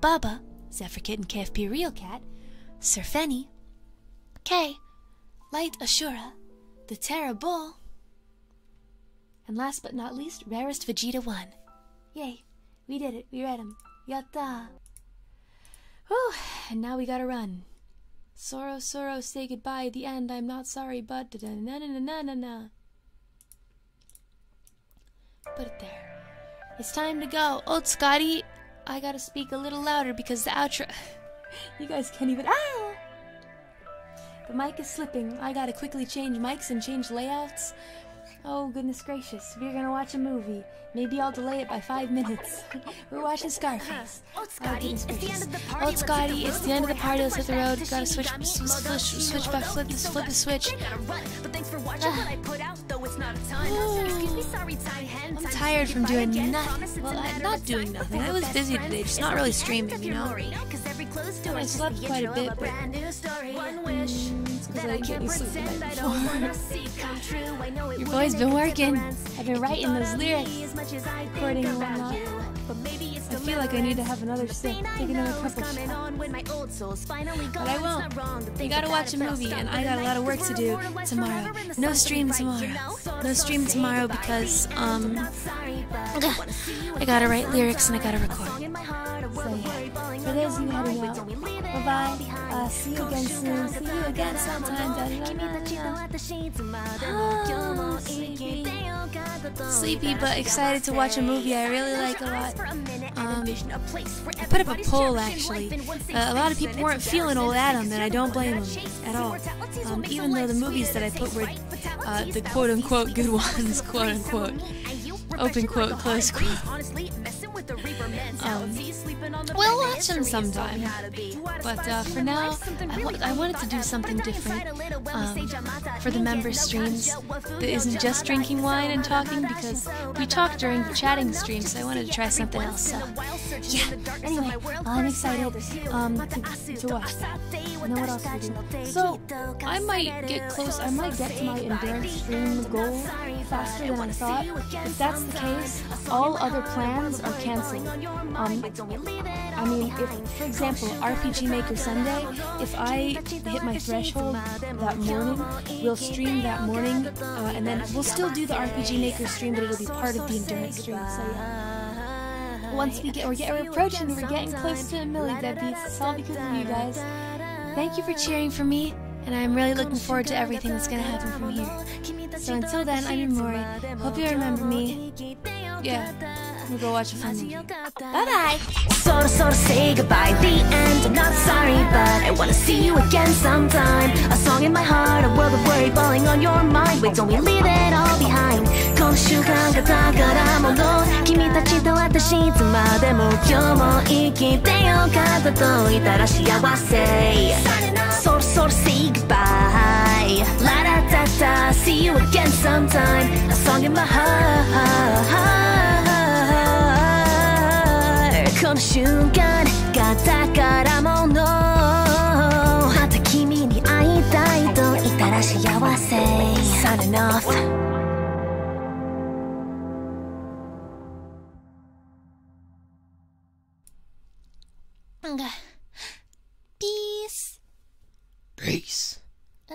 Baba, Bubba, Zephyr Kitten KFP Real Cat, Sir Fenny, K, Light Ashura, the Terra Bull, and last but not least, Rarest Vegeta 1. Yay, we did it, we read him. Yatta! Whew, and now we gotta run. Sorrow, sorrow, say goodbye at the end. I'm not sorry, but da da na na na na na. Put it there. It's time to go. Old Scotty, I gotta speak a little louder because the outro. you guys can't even. Ah! The mic is slipping. I gotta quickly change mics and change layouts. Oh, goodness gracious. We're gonna watch a movie. Maybe I'll delay it by five minutes. We're watching Scarface. Uh, Old oh, Scotty, it's the end of the party. it's the end Let's hit the road. Gotta switch, switch, switch, switch, flip, flip the switch. I'm tired from doing nothing. Well, not doing nothing. I was busy today, just not really streaming, you know? I slept quite a bit, but... Mm, I been working. I've been writing those lyrics, I feel like I need to have another sip, take another couple shots. But I won't. Wrong you gotta watch a movie, and I got a lot of work to do tomorrow. No stream tomorrow. No stream tomorrow because um, I gotta write lyrics and I gotta record. bye uh, see you again soon. See you again sometime. Oh, sleepy. sleepy, but excited to watch a movie I really like a lot. Um, I put up a poll actually. Uh, a lot of people weren't feeling old Adam, and I don't blame them at all. Um, even though the movies that I put were uh, the quote unquote good ones, quote unquote, open quote, close quote. Um, we'll watch them sometime. But uh, for now, I, wanted to do something different um, for the member streams that isn't just drinking wine and talking because we talked during the chatting stream, so I wanted to try something else. So. Yeah. Anyway, I'm excited. Um, to, to what? Know what else So I might get close. I might get to my endurance stream goal faster than I thought. If that's the case, all other plans are canceled. Um, I mean, if, for example, RPG Maker Sunday, if I hit my threshold that morning, we'll stream that morning and then we'll still do the RPG Maker stream, but it'll be part of the Endurance stream, so yeah. Once we get, or get, approaching, we're getting close to a million. debbies. It's all because of you guys. Thank you for cheering for me, and I'm really looking forward to everything that's gonna happen from here. So until then, I'm Mori. Hope you remember me. Yeah. We'll go watch a fun movie. Bye bye! So, so, say goodbye, the end sorry, but I wanna see you again sometime. A song in my heart, a world of worry falling on your mind. Wait, don't we leave it all behind? 今週間が宝物君たちと私いつまでも今日も生きてよかったと言ったら幸せそろそろ say goodbye La da da da see you again sometime A song in my heart の瞬間が宝物また君に会いたいといたら幸せ Sun enough Peace. Peace. Uh.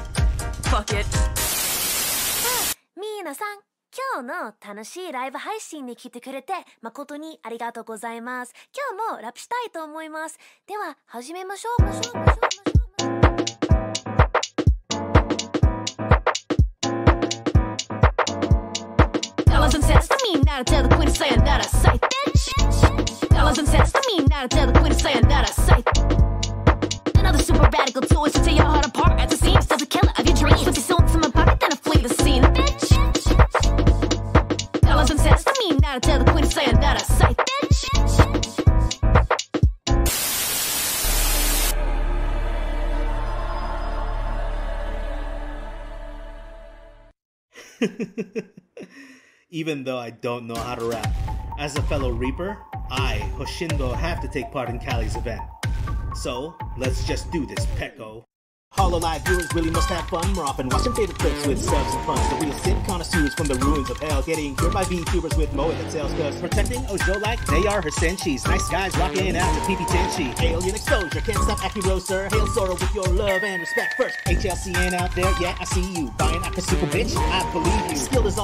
it. Fuck it. ミーナさん。今日の楽しいライブ配信に来てくれて誠にありがとうございます。今日もラップしたいと思います。では始めましょう。しょうしょうなら tell the queen to say another sight. Dollars and cents to me, not tell the queen to say another sight. Another super radical toys to tear your heart apart at the seams. Does the killer of your dreams. Fifty souls in my pocket, then I flee the scene. Bitch. Dollars and cents me, now to tell queen to say that I Bitch. Even though I don't know how to rap. As a fellow Reaper, I, Hoshindo, have to take part in Callie's event. So, let's just do this, Peko. Hollow Live viewers really must have fun more often. watching favorite clips with subs and puns. The real sim connoisseurs from the ruins of hell. Getting cured by VTubers with Moa that sells cuz. Protecting Ojo like they are her senshis. Nice guys rocking out to PP Tenchi. Alien exposure, can't stop Aki Sir. Hail Sora with your love and respect first. HLCN out there, yeah, I see you. Buying super bitch, I believe you. Skill is all